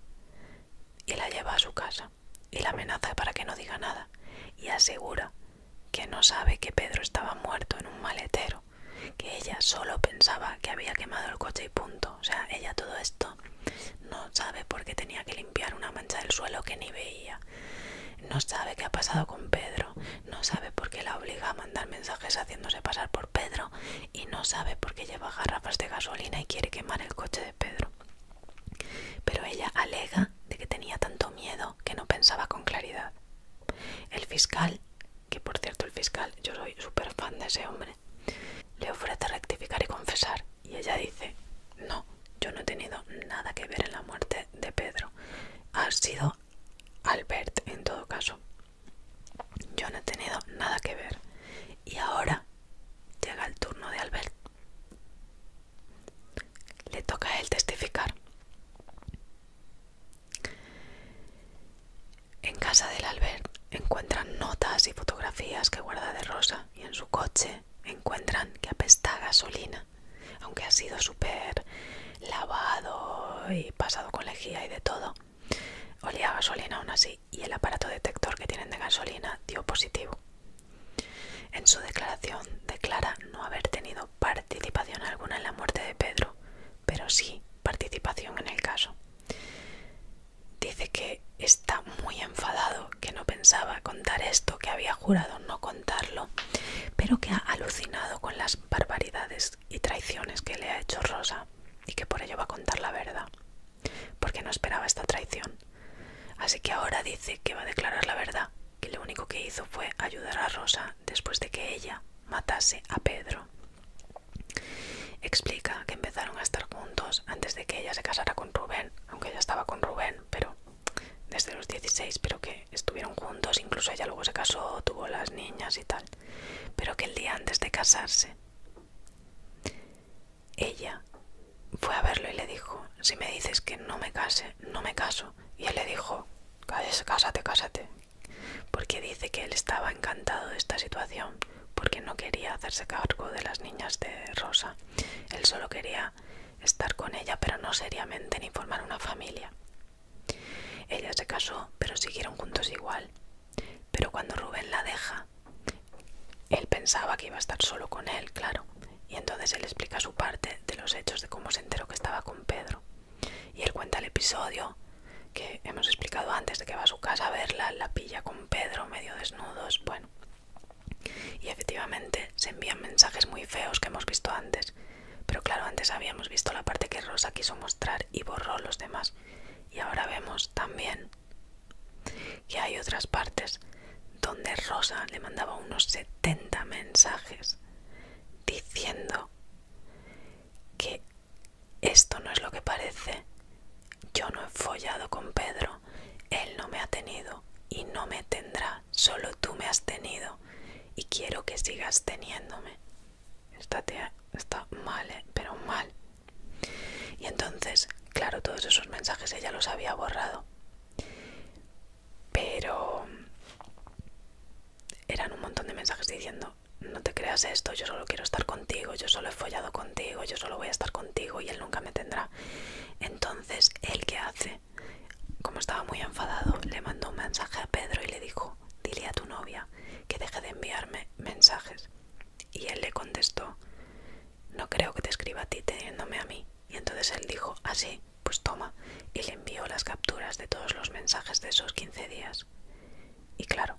y la lleva a su casa y la amenaza para que no diga nada y asegura que no sabe que Pedro estaba muerto en un maletero que ella solo pensaba que había quemado el coche y punto. O sea, ella todo esto no sabe por qué tenía que limpiar una mancha del suelo que ni veía. No sabe qué ha pasado con Pedro, no sabe por qué la obliga a mandar mensajes haciéndose pasar por Pedro y no sabe por qué lleva garrafas de gasolina y quiere quemar el coche de Pedro. Pero ella alega de que tenía tanto miedo que no pensaba con claridad. El fiscal que por cierto el fiscal, yo soy súper fan de ese hombre, le ofrece rectificar y confesar y ella dice, no, yo no he tenido nada que ver en la muerte de Pedro, ha sido Albert en todo caso, yo no he tenido nada que ver y ahora llega el turno de Albert, le toca a él testificar. En casa del Alber encuentran notas y fotografías que guarda de Rosa y en su coche encuentran que apesta gasolina, aunque ha sido súper lavado y pasado con lejía y de todo. Olía gasolina aún así y el aparato detector que tienen de gasolina dio positivo. En su declaración declara no haber tenido participación alguna en la muerte de Pedro, pero sí participación en el caso. Dice que está muy enfadado, que no pensaba contar esto, que había jurado no contarlo, pero que ha alucinado con las barbaridades y traiciones que le ha hecho Rosa y que por ello va a contar la verdad, porque no esperaba esta traición. Así que ahora dice que va a declarar la verdad, que lo único que hizo fue ayudar a Rosa después de que ella matase a Pedro Explica que empezaron a estar juntos antes de que ella se casara con Rubén, aunque ella estaba con Rubén, pero desde los 16, pero que estuvieron juntos, incluso ella luego se casó, tuvo las niñas y tal, pero que el día antes de casarse, ella fue a verlo y le dijo, si me dices que no me case, no me caso, y él le dijo, cállate, cásate, cásate, porque dice que él estaba encantado de esta situación, porque no quería hacerse cargo de las niñas de Rosa. Él solo quería estar con ella, pero no seriamente ni formar una familia. Ella se casó, pero siguieron juntos igual. Pero cuando Rubén la deja, él pensaba que iba a estar solo con él, claro. Y entonces él explica su parte de los hechos de cómo se enteró que estaba con Pedro. Y él cuenta el episodio que hemos explicado antes de que va a su casa a verla, la pilla con Pedro medio desnudos, bueno. Y efectivamente se envían mensajes muy feos que hemos visto antes, pero claro, antes habíamos visto la parte que Rosa quiso mostrar y borró los demás. Y ahora vemos también que hay otras partes donde Rosa le mandaba unos 70 mensajes diciendo que esto no es lo que parece. Yo no he follado con Pedro. Él no me ha tenido y no me tendrá. Solo tú me has tenido y quiero que sigas teniéndome. Esta está mal, eh, pero mal. Y entonces, claro, todos esos mensajes ella los había borrado. Pero eran un montón de mensajes diciendo, no, te creas esto, yo solo quiero estar contigo, yo solo he follado contigo, yo solo voy a estar contigo y él nunca me tendrá. Entonces, ¿él qué hace? Como estaba muy enfadado, le mandó un mensaje a Pedro y le dijo, dile a tu novia que deje de enviarme mensajes. Y él le contestó, no creo que te escriba a ti teniéndome a mí. Y entonces él dijo, así, ah, pues toma, y le envió las capturas de todos los mensajes de esos 15 días. Y claro,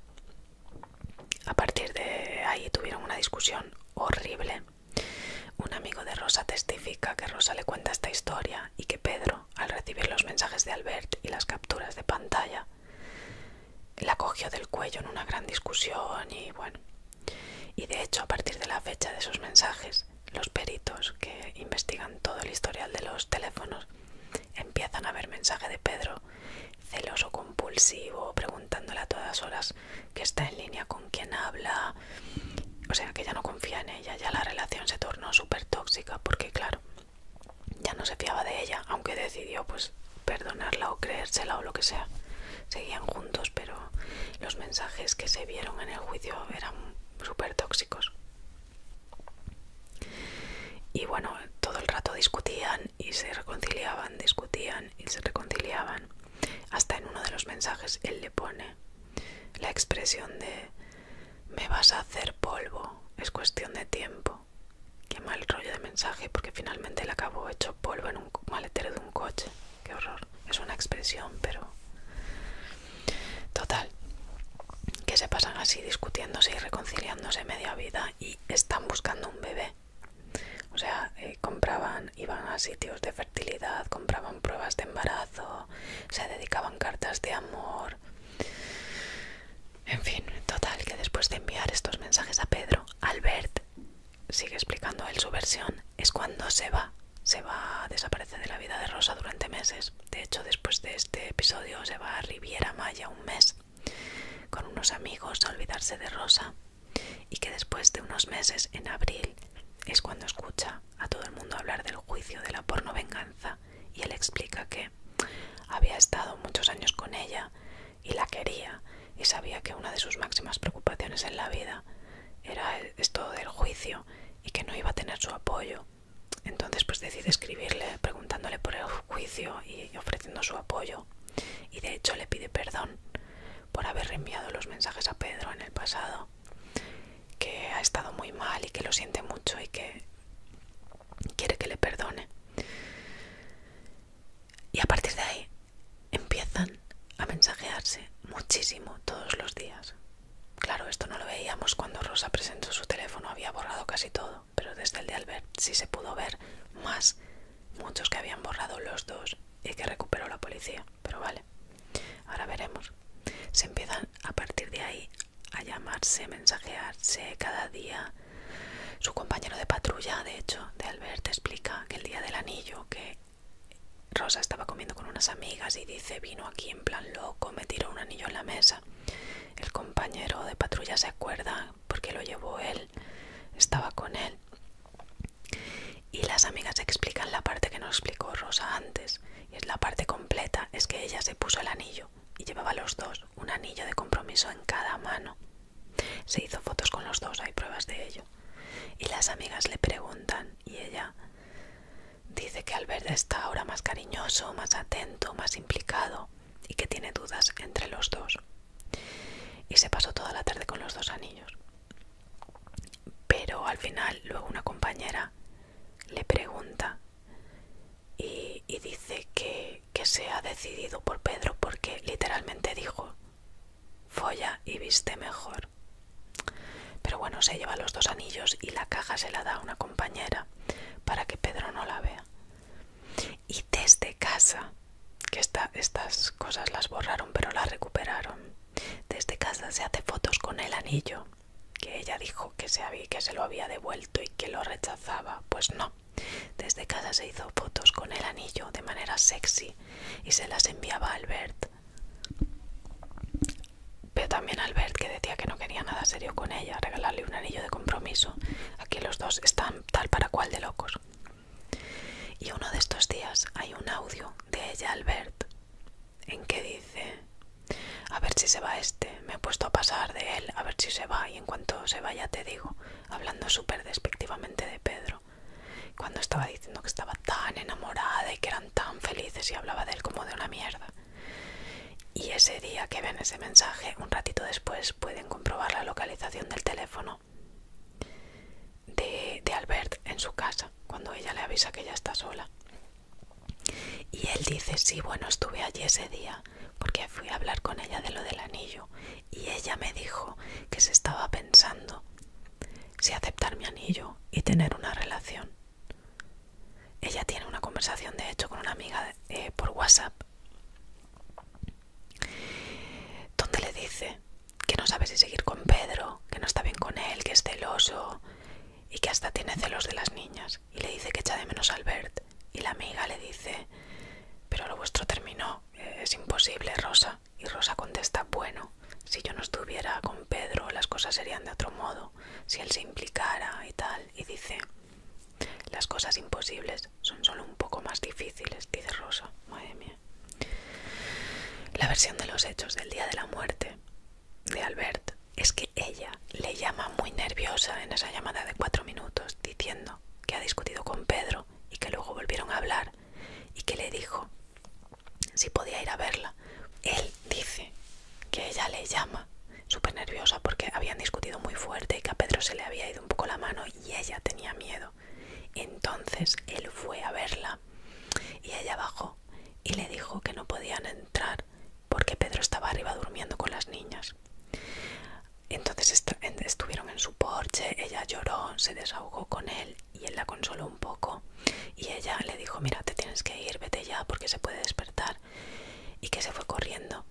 a partir de ahí tuvieron una discusión horrible. Un amigo de Rosa testifica que Rosa le cuenta esta historia y que Pedro, al recibir los mensajes de Albert y las capturas de pantalla, la cogió del cuello en una gran discusión y bueno. Y de hecho, a partir de la fecha de esos mensajes, los peritos que investigan todo el historial de los teléfonos empiezan a ver mensaje de Pedro, celoso, compulsivo, preguntándole a todas horas que está en línea con quien habla. O sea, que ya no confía en ella, ya la relación se tornó súper tóxica porque, claro, ya no se fiaba de ella, aunque decidió pues perdonarla o creérsela o lo que sea. Seguían juntos, pero los mensajes que se vieron en el juicio eran súper tóxicos. Y bueno, todo el rato discutían, y se reconciliaban, discutían y se reconciliaban. Hasta en uno de los mensajes él le pone la expresión de me vas a hacer polvo, es cuestión de tiempo. Qué mal rollo de mensaje porque finalmente le acabó hecho polvo en un maletero de un coche. Qué horror. Es una expresión, pero... Total. Que se pasan así discutiéndose y reconciliándose media vida están buscando un bebé. O sea, eh, compraban, iban a sitios de fertilidad, compraban pruebas de embarazo, se dedicaban cartas de amor. En fin, total, que después de enviar estos mensajes a Pedro, Albert sigue explicando él su versión, es cuando se va, se va desaparece de la vida de Rosa durante meses. De hecho, después de este episodio se va a Riviera Maya un mes con unos amigos a olvidarse de Rosa y que después de unos meses, en abril, es cuando escucha a todo el mundo hablar del juicio de la porno venganza y él explica que había estado muchos años con ella y la quería y sabía que una de sus máximas preocupaciones en la vida era esto del juicio y que no iba a tener su apoyo. Entonces pues decide escribirle preguntándole por el juicio y ofreciendo su apoyo y de hecho le pide perdón por haber reenviado los mensajes a Pedro en el pasado, que ha estado muy mal y que lo siente mucho y que quiere que le perdone. Y a partir de ahí empiezan a mensajearse muchísimo todos los días. Claro, esto no lo veíamos cuando Rosa presentó su teléfono, había borrado casi todo pero desde el de Albert sí se pudo ver más muchos que habían borrado los dos y que recuperó la policía. Pero vale, ahora veremos. Se empiezan a partir de ahí a llamarse, mensajearse cada día. Su compañero de patrulla, de hecho, de Albert, explica que el día del anillo, que Rosa estaba comiendo con unas amigas y dice, vino aquí en plan loco, me tiró un anillo en la mesa. El compañero de patrulla se acuerda porque lo llevó él, estaba con él. Y las amigas explican la parte que nos explicó Rosa antes, y es la parte completa, es que ella se puso el anillo y llevaba los dos, un anillo de compromiso en cada mano. Se hizo fotos con los dos, hay pruebas de ello. Y las amigas le preguntan y ella dice que verde está ahora más cariñoso, más atento, más implicado y que tiene dudas entre los dos y se pasó toda la tarde con los dos anillos. Pero al final luego una compañera le pregunta y, dice que, que se ha decidido por Pedro porque literalmente dijo, folla y viste mejor. Pero bueno, se lleva los dos anillos y la caja se la da a una compañera para que Pedro no la vea y desde casa, que estas cosas las borraron pero las recuperaron, desde casa se hace fotos con el anillo, que ella dijo que se, había, que se lo había devuelto y que lo rechazaba, pues no, desde casa se hizo fotos con el anillo de manera sexy y se las enviaba a Albert. Pero también Albert, que decía que no quería nada serio con ella, regalarle un anillo de compromiso. Aquí los dos están tal para cual de locos. Y uno de estos días hay un audio de ella, Albert, en que dice, a ver si se va este, me he puesto a pasar de él, a ver si se va, y en cuanto se vaya te digo, hablando súper despectivamente de Pedro, cuando estaba diciendo que estaba tan enamorada y que eran tan felices y hablaba de él como de una mierda. Y ese día que ven ese mensaje, un ratito después pues pueden comprobar la localización del teléfono de, Albert en su casa, cuando ella le avisa que ya está sola. Y él dice, sí, bueno, estuve allí ese día porque fui a hablar con ella de lo del anillo y ella me dijo que se estaba pensando si aceptar mi anillo y tener una relación. Ella tiene una conversación, de hecho, con una amiga eh, por WhatsApp donde le dice que no sabe si seguir con Pedro, que no está bien con él, que es celoso y que hasta tiene celos de las niñas. Y le dice que echa de menos a Albert. Y la amiga le dice, pero lo vuestro terminó, eh, es imposible, Rosa. Y Rosa contesta, bueno, si yo no estuviera con Pedro, las cosas serían de otro modo, si él se implicara y tal. Y dice, las cosas imposibles son solo un poco más difíciles, dice Rosa. Madre La versión de los hechos del día de la muerte de Albert es que ella le llama muy nerviosa en esa llamada de cuatro minutos diciendo que ha discutido con Pedro y que luego volvieron a hablar y que le dijo si podía ir a verla. Él dice que ella le llama súper nerviosa porque habían discutido muy fuerte y que a Pedro se le había ido un poco la mano y ella tenía miedo. Entonces él fue a verla y ella bajó y le dijo que no podían entrar porque Pedro estaba arriba durmiendo con las niñas. Entonces estuvieron en su porche, ella lloró, se desahogó con él y él la consoló un poco y ella le dijo, mira, te tienes que ir, vete ya porque se puede despertar y que se fue corriendo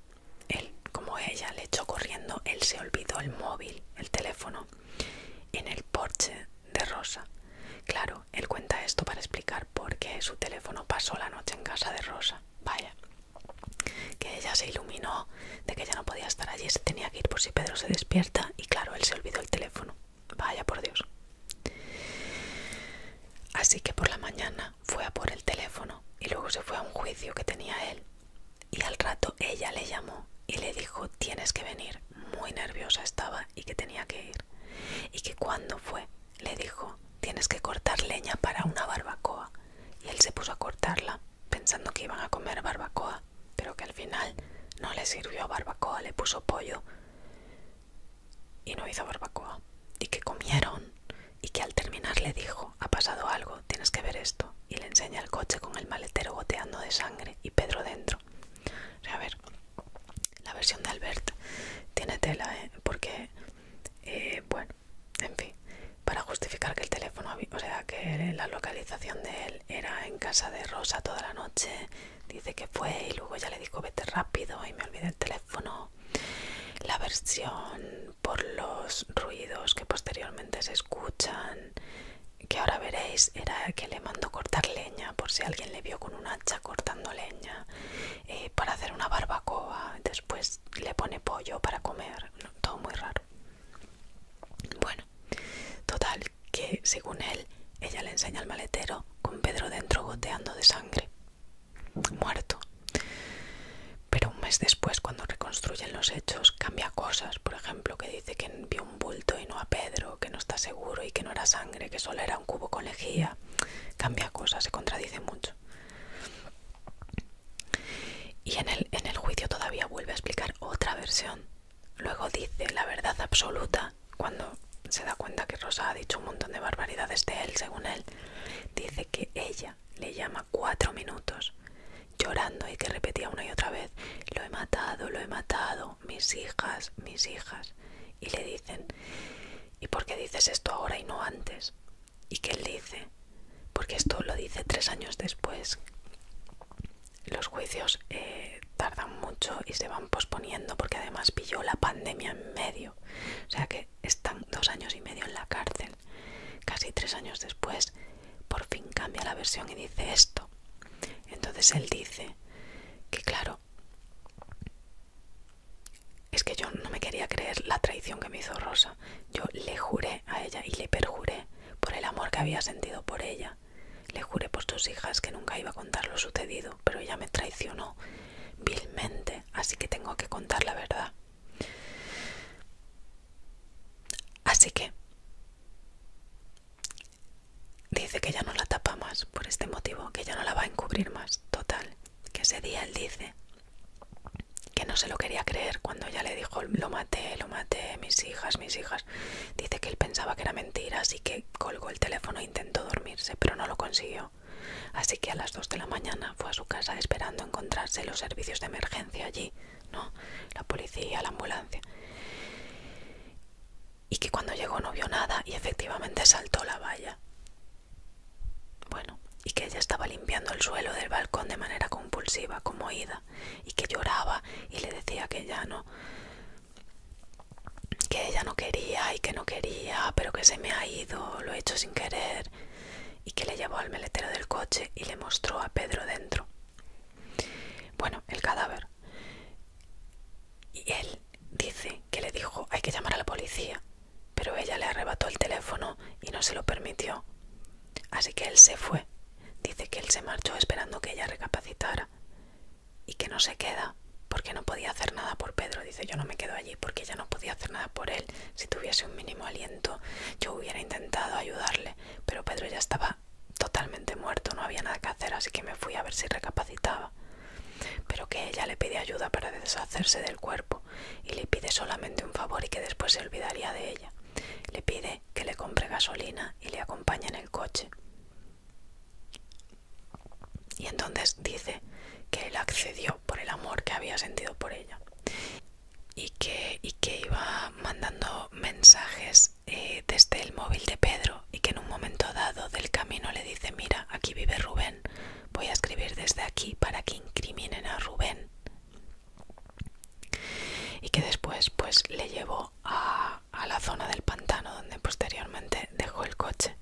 él como ella le echó corriendo, él se olvidó el móvil, el teléfono, en el porche de Rosa. Claro, él cuenta esto para explicar por qué su teléfono pasó la noche en casa de Rosa. Vaya, que ella se iluminó de que ya no podía estar allí, se tenía que ir por si Pedro se despierta y claro, él se olvidó el teléfono. Vaya, por Dios. Así que por la mañana fue a por el teléfono y luego se fue a un juicio que tenía él y al rato ella le llamó y le dijo tienes que venir, muy nerviosa estaba y que tenía que ir. Y que cuando fue, le dijo tienes que cortar leña para una barbacoa. Y él se puso a cortarla, pensando que iban a comer barbacoa, pero que al final no le sirvió barbacoa, le puso pollo y no hizo barbacoa. Y que comieron y que al terminar le dijo, ha pasado algo, tienes que ver esto. Y le enseña el coche con el maletero goteando de sangre y Pedro dentro. O a ver, la versión de Albert tiene tela, ¿eh? Porque, eh, bueno, en fin, para justificar que el teléfono, o sea, que la localización de él era en casa de Rosa toda la noche, dice que fue y luego ya le dijo vete rápido y me olvidé el teléfono. La versión por los ruidos que posteriormente se escuchan, que ahora veréis, era que le mandó cortar leña por si alguien le vio con un hacha cortando leña eh, para hacer una barbacoa, después le pone pollo para comer, todo muy raro. Bueno, total, que según él, ella le enseña el maletero con Pedro dentro goteando de sangre, muerto pero un mes después cuando reconstruyen los hechos cambia cosas, por ejemplo que dice que envió un bulto y no a Pedro, que no está seguro y que no era sangre, que solo era un cubo con lejía, cambia cosas, se contradice mucho. Y en el, en el juicio todavía vuelve a explicar otra versión. Luego dice la verdad absoluta cuando se da cuenta que Rosa ha dicho un montón de barbaridades de él, según él. Dice que ella le llama cuatro minutos, llorando y que repetía una y otra vez, lo he matado, lo he matado, mis hijas, mis hijas. Y le dicen, ¿y por qué dices esto ahora y no antes? Y qué él dice, porque esto lo dice tres años después. Los juicios eh, tardan mucho y se van posponiendo porque además pilló la pandemia en medio. O sea que están dos años y medio en la cárcel Casi tres años después, por fin cambia la versión y dice esto. Entonces él dice que claro, es que yo no me quería creer la traición que me hizo Rosa. Yo le juré a ella y le perjuré por el amor que había sentido por ella. Le juré por sus hijas que nunca iba a contar lo sucedido, pero ella me traicionó vilmente, así que tengo que contar la verdad. Así que dice que ya no la tapa más por este motivo, que ya no la va a encubrir más. Total, que ese día él dice que no se lo quería creer cuando ella le dijo lo maté, lo maté, mis hijas, mis hijas. Dice que él pensaba que era mentira, así que colgó el teléfono e intentó dormirse, pero no lo consiguió. Así que a las 2 de la mañana fue a su casa esperando encontrarse los servicios de emergencia allí la policía, la ambulancia. Y que cuando llegó no vio nada y efectivamente saltó la valla. Bueno, y que ella estaba limpiando el suelo del balcón de manera compulsiva, como ida. y que lloraba y le decía que ya no que ella no quería y que no quería, pero que se me ha ido, lo he hecho sin querer, y que le llevó al meletero del coche y le mostró a Pedro dentro. Bueno, el cadáver. Y él dice que le dijo, hay que llamar a la policía, pero ella le arrebató el teléfono y no se lo permitió. Así que él se fue. Dice que él se marchó esperando que ella recapacitara y que no se queda porque no podía hacer nada por Pedro. Dice, yo no me quedo allí porque ella no podía hacer nada por él. Si tuviese un mínimo aliento, yo hubiera intentado ayudarle pero Pedro ya estaba totalmente muerto, no había nada que hacer, así que me fui a ver si recapacitaba. Pero que ella le pide ayuda para deshacerse del cuerpo y le pide solamente un favor y que después se olvidaría de ella. Le pide que le compre gasolina y le acompañe en el coche. Y entonces dice que él accedió por el amor que había sentido por ella y que, y que iba mandando mensajes eh, desde el móvil de Pedro y que en un momento dado del camino le dice, mira, aquí vive Rubén, voy a escribir desde aquí para que incriminen a Rubén. Y que después pues le llevó a, la zona del pantano donde posteriormente dejó el coche.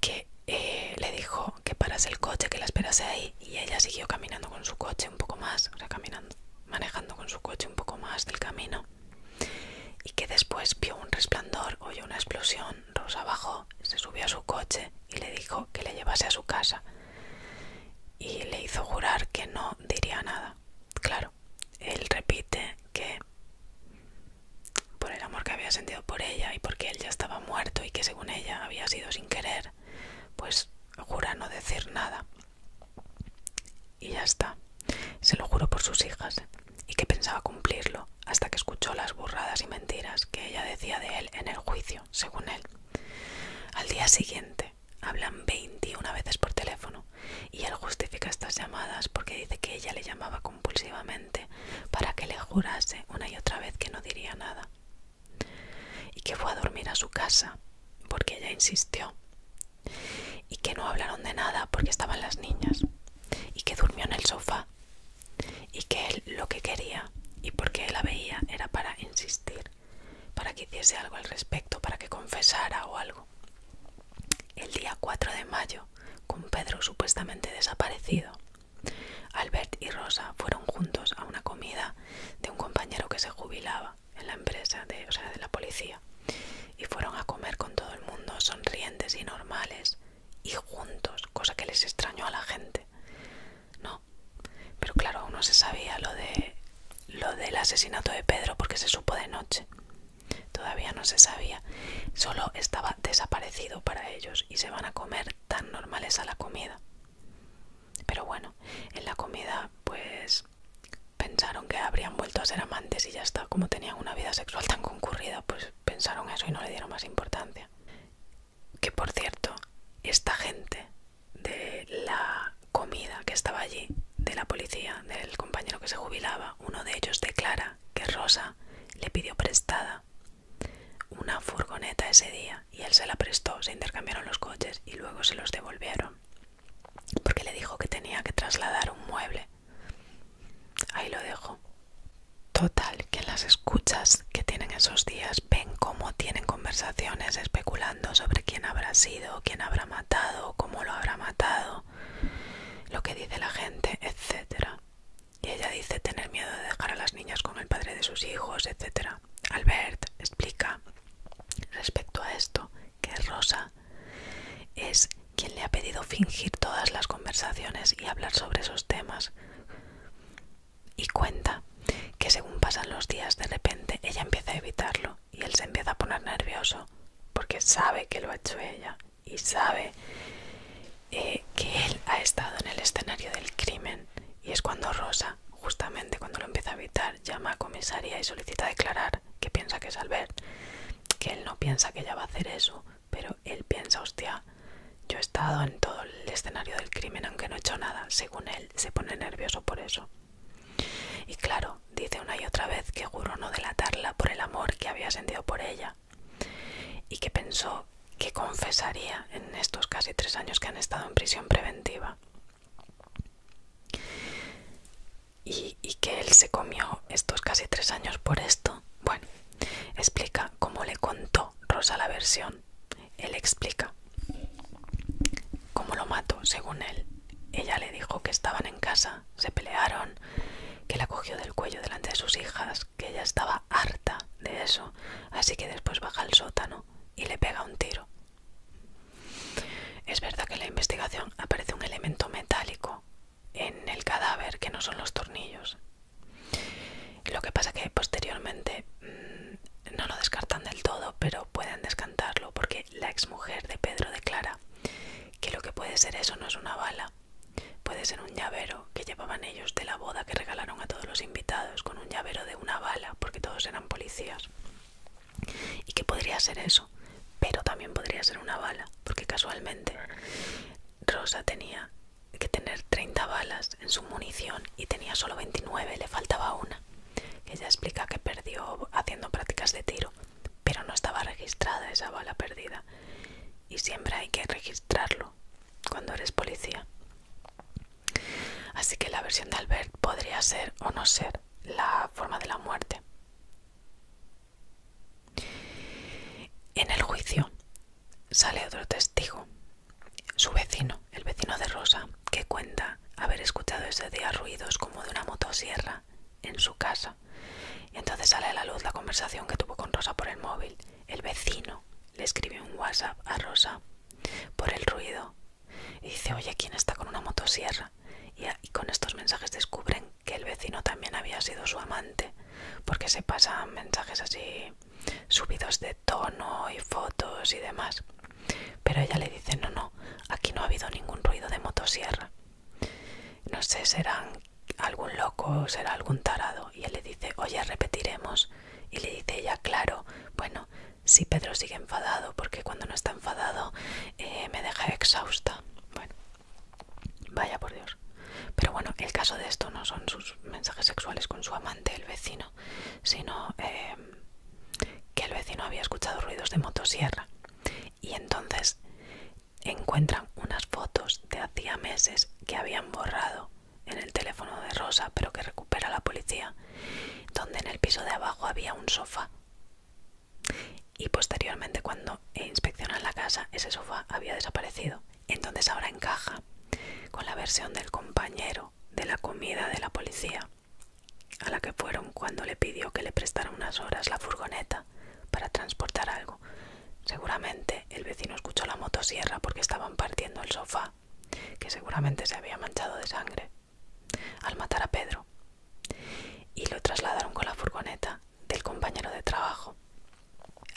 Que eh, le dijo que parase el coche, que la esperase ahí y ella siguió caminando con su coche un poco más, o sea, caminando manejando con su coche un poco más del camino y que después vio un resplandor, oyó una explosión, Rosa bajó, se subió a su coche y le dijo que le llevase a su casa y le hizo jurar que no diría nada. Claro, él repite que por el amor que había sentido por ella y porque él ya estaba muerto y que según ella había sido sin querer, pues jura no decir nada. Y ya está. Se lo juró por sus hijas ¿eh? y que pensaba cumplirlo hasta que escuchó las burradas y mentiras que ella decía de él en el juicio, según él. Al día siguiente hablan 21 veces por teléfono y él justifica estas llamadas porque dice que ella le llamaba compulsivamente para que le jurase una y otra vez que no diría nada y que fue a dormir a su casa porque ella insistió y que no hablaron de nada porque estaban las niñas y que durmió en el sofá y que él lo que quería y porque él la veía era para insistir, para que hiciese algo al respecto, para que confesara o algo. El día 4 de mayo, con Pedro supuestamente desaparecido, Albert y Rosa fueron juntos a una comida de un compañero que se jubilaba en la empresa de, o sea, de la policía y fueron a comer con todo el mundo sonrientes y normales y juntos, cosa que les extrañó a la gente. No, pero claro, aún no se sabía lo de lo del asesinato de Pedro porque se supo de noche. Todavía no se sabía, solo estaba desaparecido para ellos y se van a comer tan normales a la comida. Pero bueno, en la comida pues pensaron que habrían vuelto a ser amantes y ya está, como tenían una vida sexual tan concurrida, pues pensaron eso y no le dieron más importancia. Que por cierto, esta gente de la comida que estaba allí, de la policía, del compañero que se jubilaba, uno de ellos declara que Rosa le pidió prestada una furgoneta ese día y él se la prestó, se intercambiaron los coches y luego se los devolvieron porque le dijo que tenía que trasladar un mueble. Ahí lo dejo. Total, que las escuchas que tienen esos días ven cómo tienen conversaciones especulando sobre quién habrá sido, quién habrá matado, cómo lo habrá matado, lo que dice la gente, etcétera. Y ella dice tener miedo de dejar a las niñas con el padre de sus hijos, etcétera. Albert explica respecto a esto que Rosa es quien le ha pedido fingir todas las conversaciones y hablar sobre esos temas. Y cuenta que según pasan los días, de repente ella empieza a evitarlo y él se empieza a poner nervioso porque sabe que lo ha hecho ella y sabe eh, que él ha estado en el escenario del crimen. Y es cuando Rosa, justamente cuando lo empieza a evitar, llama a comisaría y solicita declarar que piensa que es que él no piensa que ella va a hacer eso, pero él piensa, hostia, yo he estado en todo el escenario del crimen aunque no he hecho nada, según él se pone nervioso por eso. Y claro, dice una y otra vez que juró no delatarla por el amor que había sentido por ella y que pensó que confesaría en estos casi tres años que han estado en prisión preventiva. Y, que él se comió estos casi tres años por esto. Bueno, explica cómo le contó Rosa la versión. Él explica cómo lo mató, según él. Ella le dijo que estaban en casa, se pelearon, que la cogió del cuello delante de sus hijas, que ella estaba harta de eso, así que después baja al sótano y le pega un tiro. Es verdad que en la investigación aparece un elemento metálico en el cadáver que no son los tornillos. Lo que pasa que posteriormente mm, no lo descartan del todo, pero pueden descartarlo porque la exmujer de Pedro declara que lo que puede ser eso no es una bala, puede ser un llavero que llevaban ellos de la boda que regalaron a todos los invitados con un llavero de una bala porque todos eran policías y que podría ser eso, pero también podría ser una bala, porque casualmente Rosa tenía que tener 30 balas en su munición y tenía solo 29, le faltaba una. Ella explica que perdió haciendo prácticas de tiro, pero no estaba registrada esa bala perdida. Y siempre hay que registrarlo cuando eres policía. Así que la versión de Albert podría ser o no ser la forma de la muerte. En el juicio sale otro testigo, su vecino, el vecino de Rosa, que cuenta haber escuchado ese día ruidos como de una motosierra en su casa. entonces sale a la luz la conversación que tuvo con Rosa por el móvil. El vecino le escribió un WhatsApp a Rosa por el ruido y dice, oye, ¿quién está con una motosierra? Y, con estos mensajes descubren que el vecino también había sido su amante, porque se pasan mensajes así subidos de tono y fotos y demás. Pero ella le dice, no, no, aquí no ha habido ningún ruido de motosierra. No sé, será algún loco, será algún tarado. Y él le dice, oye, repetiremos. Y le dice ella, claro, bueno, si Pedro sigue enfadado porque cuando no está enfadado eh, me deja exhausta. Bueno, vaya por Dios. Pero bueno, el caso de esto no son sus mensajes sexuales con su amante, el vecino, sino eh, que el vecino había escuchado ruidos de motosierra. Y entonces encuentran unas fotos de hacía meses que habían borrado en el teléfono de Rosa, pero que recupera la policía, donde en el piso de abajo había un sofá y posteriormente cuando inspeccionan la casa, ese sofá había desaparecido. Entonces ahora encaja con la versión del compañero de la comida de la policía, a la que fueron cuando le pidió que le prestara unas horas la furgoneta para transportar algo. Seguramente el vecino escuchó la motosierra porque estaban partiendo el sofá, que seguramente se había manchado de sangre al matar a Pedro y lo trasladaron con la furgoneta del compañero de trabajo.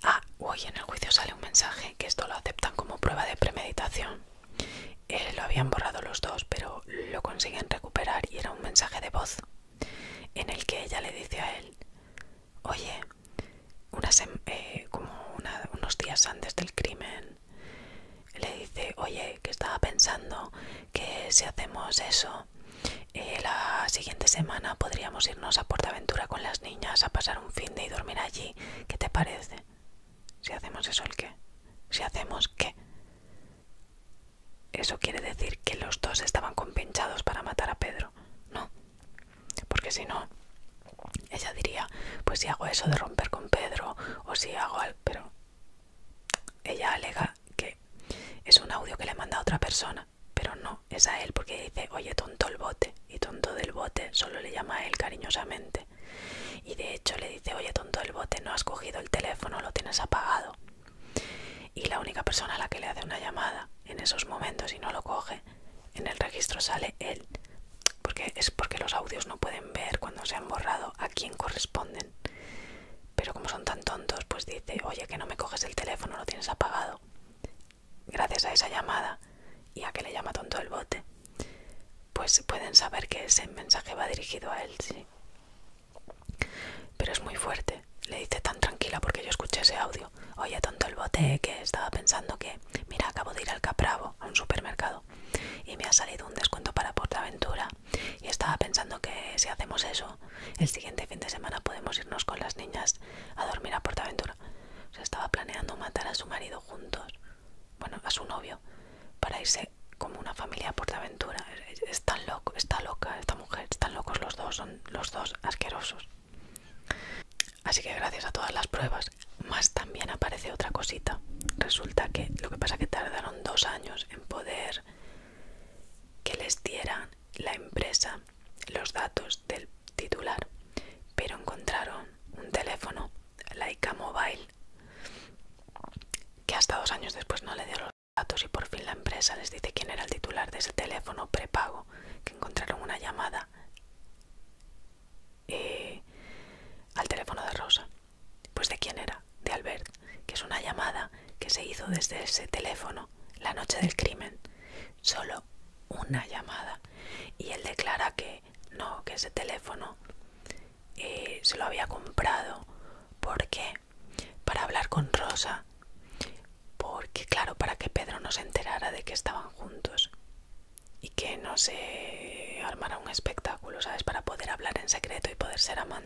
Ah, hoy en el juicio sale un mensaje que esto lo aceptan como prueba de premeditación. Eh, lo habían borrado los dos, pero lo consiguen recuperar y era un mensaje de voz en el que ella le dice a él, oye, eh, como unos días antes del crimen, le dice, oye, que estaba pensando que si hacemos eso, eh, la siguiente semana podríamos irnos a Aventura con las niñas a pasar un fin de y dormir allí. ¿Qué te parece? Si hacemos eso, ¿el qué? Si hacemos qué? Eso quiere decir que los dos estaban compinchados para matar a Pedro, ¿no? Porque si no, ella diría, pues si hago eso de romper con Pedro o si hago algo, pero ella alega que es un audio que le manda a otra persona, pero no, es a él porque dice, oye, tonto el bote, y tonto del bote solo le llama a él cariñosamente. Y de hecho le dice, oye, tonto el bote, no has cogido el teléfono, lo tienes apagado. Y la única persona a la que le hace una llamada en esos momentos y no lo coge, en el registro sale él, porque es porque los audios no pueden ver cuando se han borrado a quién corresponden. Pero como son tan tontos, pues dice, oye, que no me coges el teléfono, lo tienes apagado. Gracias a esa llamada y a que le llama tonto el bote, pues pueden saber que ese mensaje va dirigido a él, sí. Pero es muy fuerte. Le dice tan tranquila porque yo escuché ese audio. Oye, tonto el bote, que estaba pensando que, mira, acabo de ir al Capravo, a un supermercado, y me ha salido un descuento para Portaventura y estaba pensando que si hacemos eso, el siguiente fin de semana podemos irnos con las niñas a dormir a Portaventura. O sea, estaba planeando matar a su marido juntos, bueno, a su novio, para irse como una familia a Portaventura. Es tan está loca esta mujer, están locos los dos, son los dos asquerosos. Así que gracias a todas las pruebas, más también aparece otra cosita. Resulta que lo que pasa es que tardaron dos años en poder que les diera la empresa los datos del titular, pero encontraron un teléfono, Laica Mobile, que hasta dos años después no le dieron los datos y por fin la empresa les dice quién era el titular de ese teléfono prepago, que encontraron una llamada eh, al teléfono de Rosa. Pues de quién era, de Albert, que es una llamada que se hizo desde ese teléfono la noche del crimen. Solo una llamada. Y él declara que no, que ese teléfono eh, se lo había comprado. ¿Por qué? Para hablar con Rosa. Porque, claro, para que Pedro no se enterara de que estaban juntos. Y que no se armara un espectáculo, ¿sabes? Para poder hablar en secreto y poder ser amados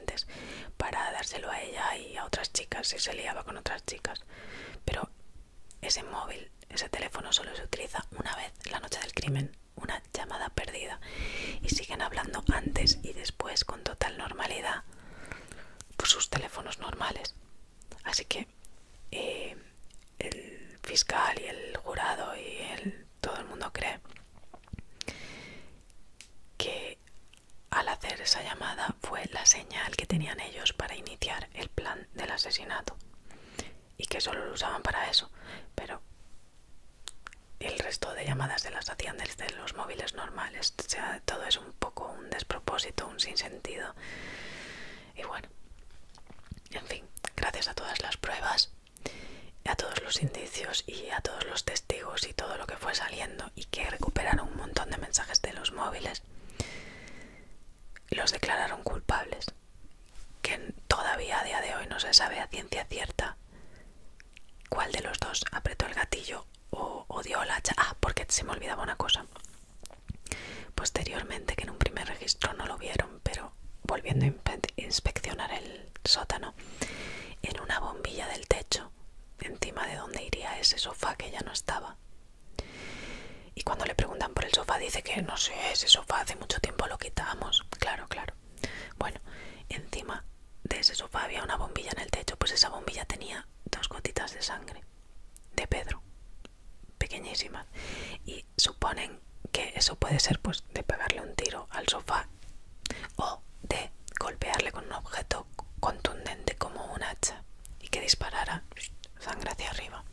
para dárselo a ella y a otras chicas si se liaba con otras chicas. Pero ese móvil, ese teléfono solo se utiliza una vez la noche del crimen, una llamada perdida. Y siguen hablando antes y después con total normalidad por pues, sus teléfonos normales. Así que eh, el fiscal y el jurado y el, todo el mundo cree que al hacer esa llamada fue la señal que tenían ellos para iniciar el plan del asesinato y que solo lo usaban para eso, pero el resto de llamadas se las hacían desde los móviles normales. O sea, todo es un poco un despropósito, un sinsentido. Y bueno, en fin, gracias a todas las pruebas, a todos los indicios y a todos los testigos y todo lo que fue saliendo y que recuperaron un montón de mensajes de los móviles, los declararon culpables, que todavía a día de hoy no se sabe a ciencia cierta cuál de los dos apretó el gatillo o, o dio la hacha. Ah, porque se me olvidaba una cosa. Posteriormente, que en un primer registro no lo vieron, pero volviendo a inspeccionar el sótano, en una bombilla del techo encima de dónde iría ese sofá que ya no estaba. Y cuando le preguntan por el sofá dice que no sé, ese sofá hace mucho tiempo lo quitamos. Claro, claro. Bueno, encima de ese sofá había una bombilla en el techo, pues esa bombilla tenía dos gotitas de sangre de Pedro, pequeñísimas. Y suponen que eso puede ser pues de pegarle un tiro al sofá o de golpearle con un objeto contundente como un hacha y que disparara sangre hacia arriba.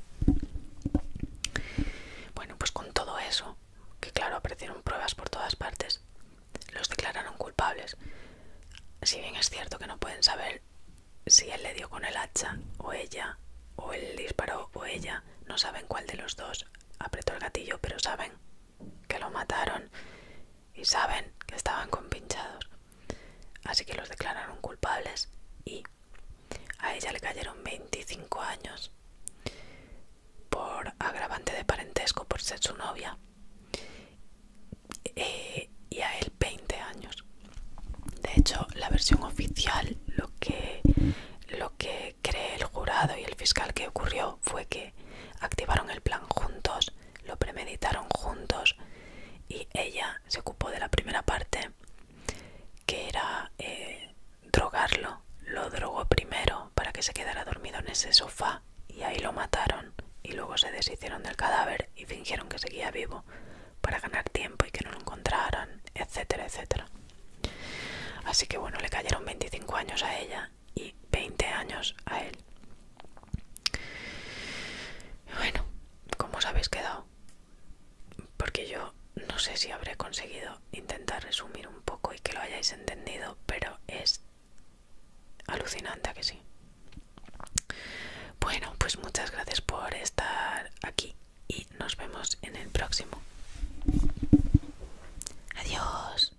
Bueno, pues con todo eso, que claro, aparecieron pruebas por todas partes, los declararon culpables. Si bien es cierto que no pueden saber si él le dio con el hacha o ella, o él disparó o ella, no saben cuál de los dos apretó el gatillo, pero saben que lo mataron y saben que estaban compinchados. Así que los declararon culpables y a ella le cayeron 25 años por agravante de parentesco por ser su novia eh, y a él 20 años. De hecho, la versión oficial, lo que, lo que cree el jurado y el fiscal que ocurrió fue que activaron el plan juntos lo premeditaron juntos y ella se ocupó de la primera parte que era eh, drogarlo, lo drogó primero para que se quedara dormido en ese sofá y ahí lo mataron y luego se deshicieron del cadáver y fingieron que seguía vivo para ganar tiempo y que no lo encontraran, etcétera, etcétera. Así que bueno, le cayeron 25 años a ella y 20 años a él. Bueno, ¿cómo os habéis quedado? Porque yo no sé si habré conseguido intentar resumir un poco y que lo hayáis entendido, pero es alucinante que sí. Bueno, pues muchas gracias por estar aquí y nos vemos en el próximo. Adiós.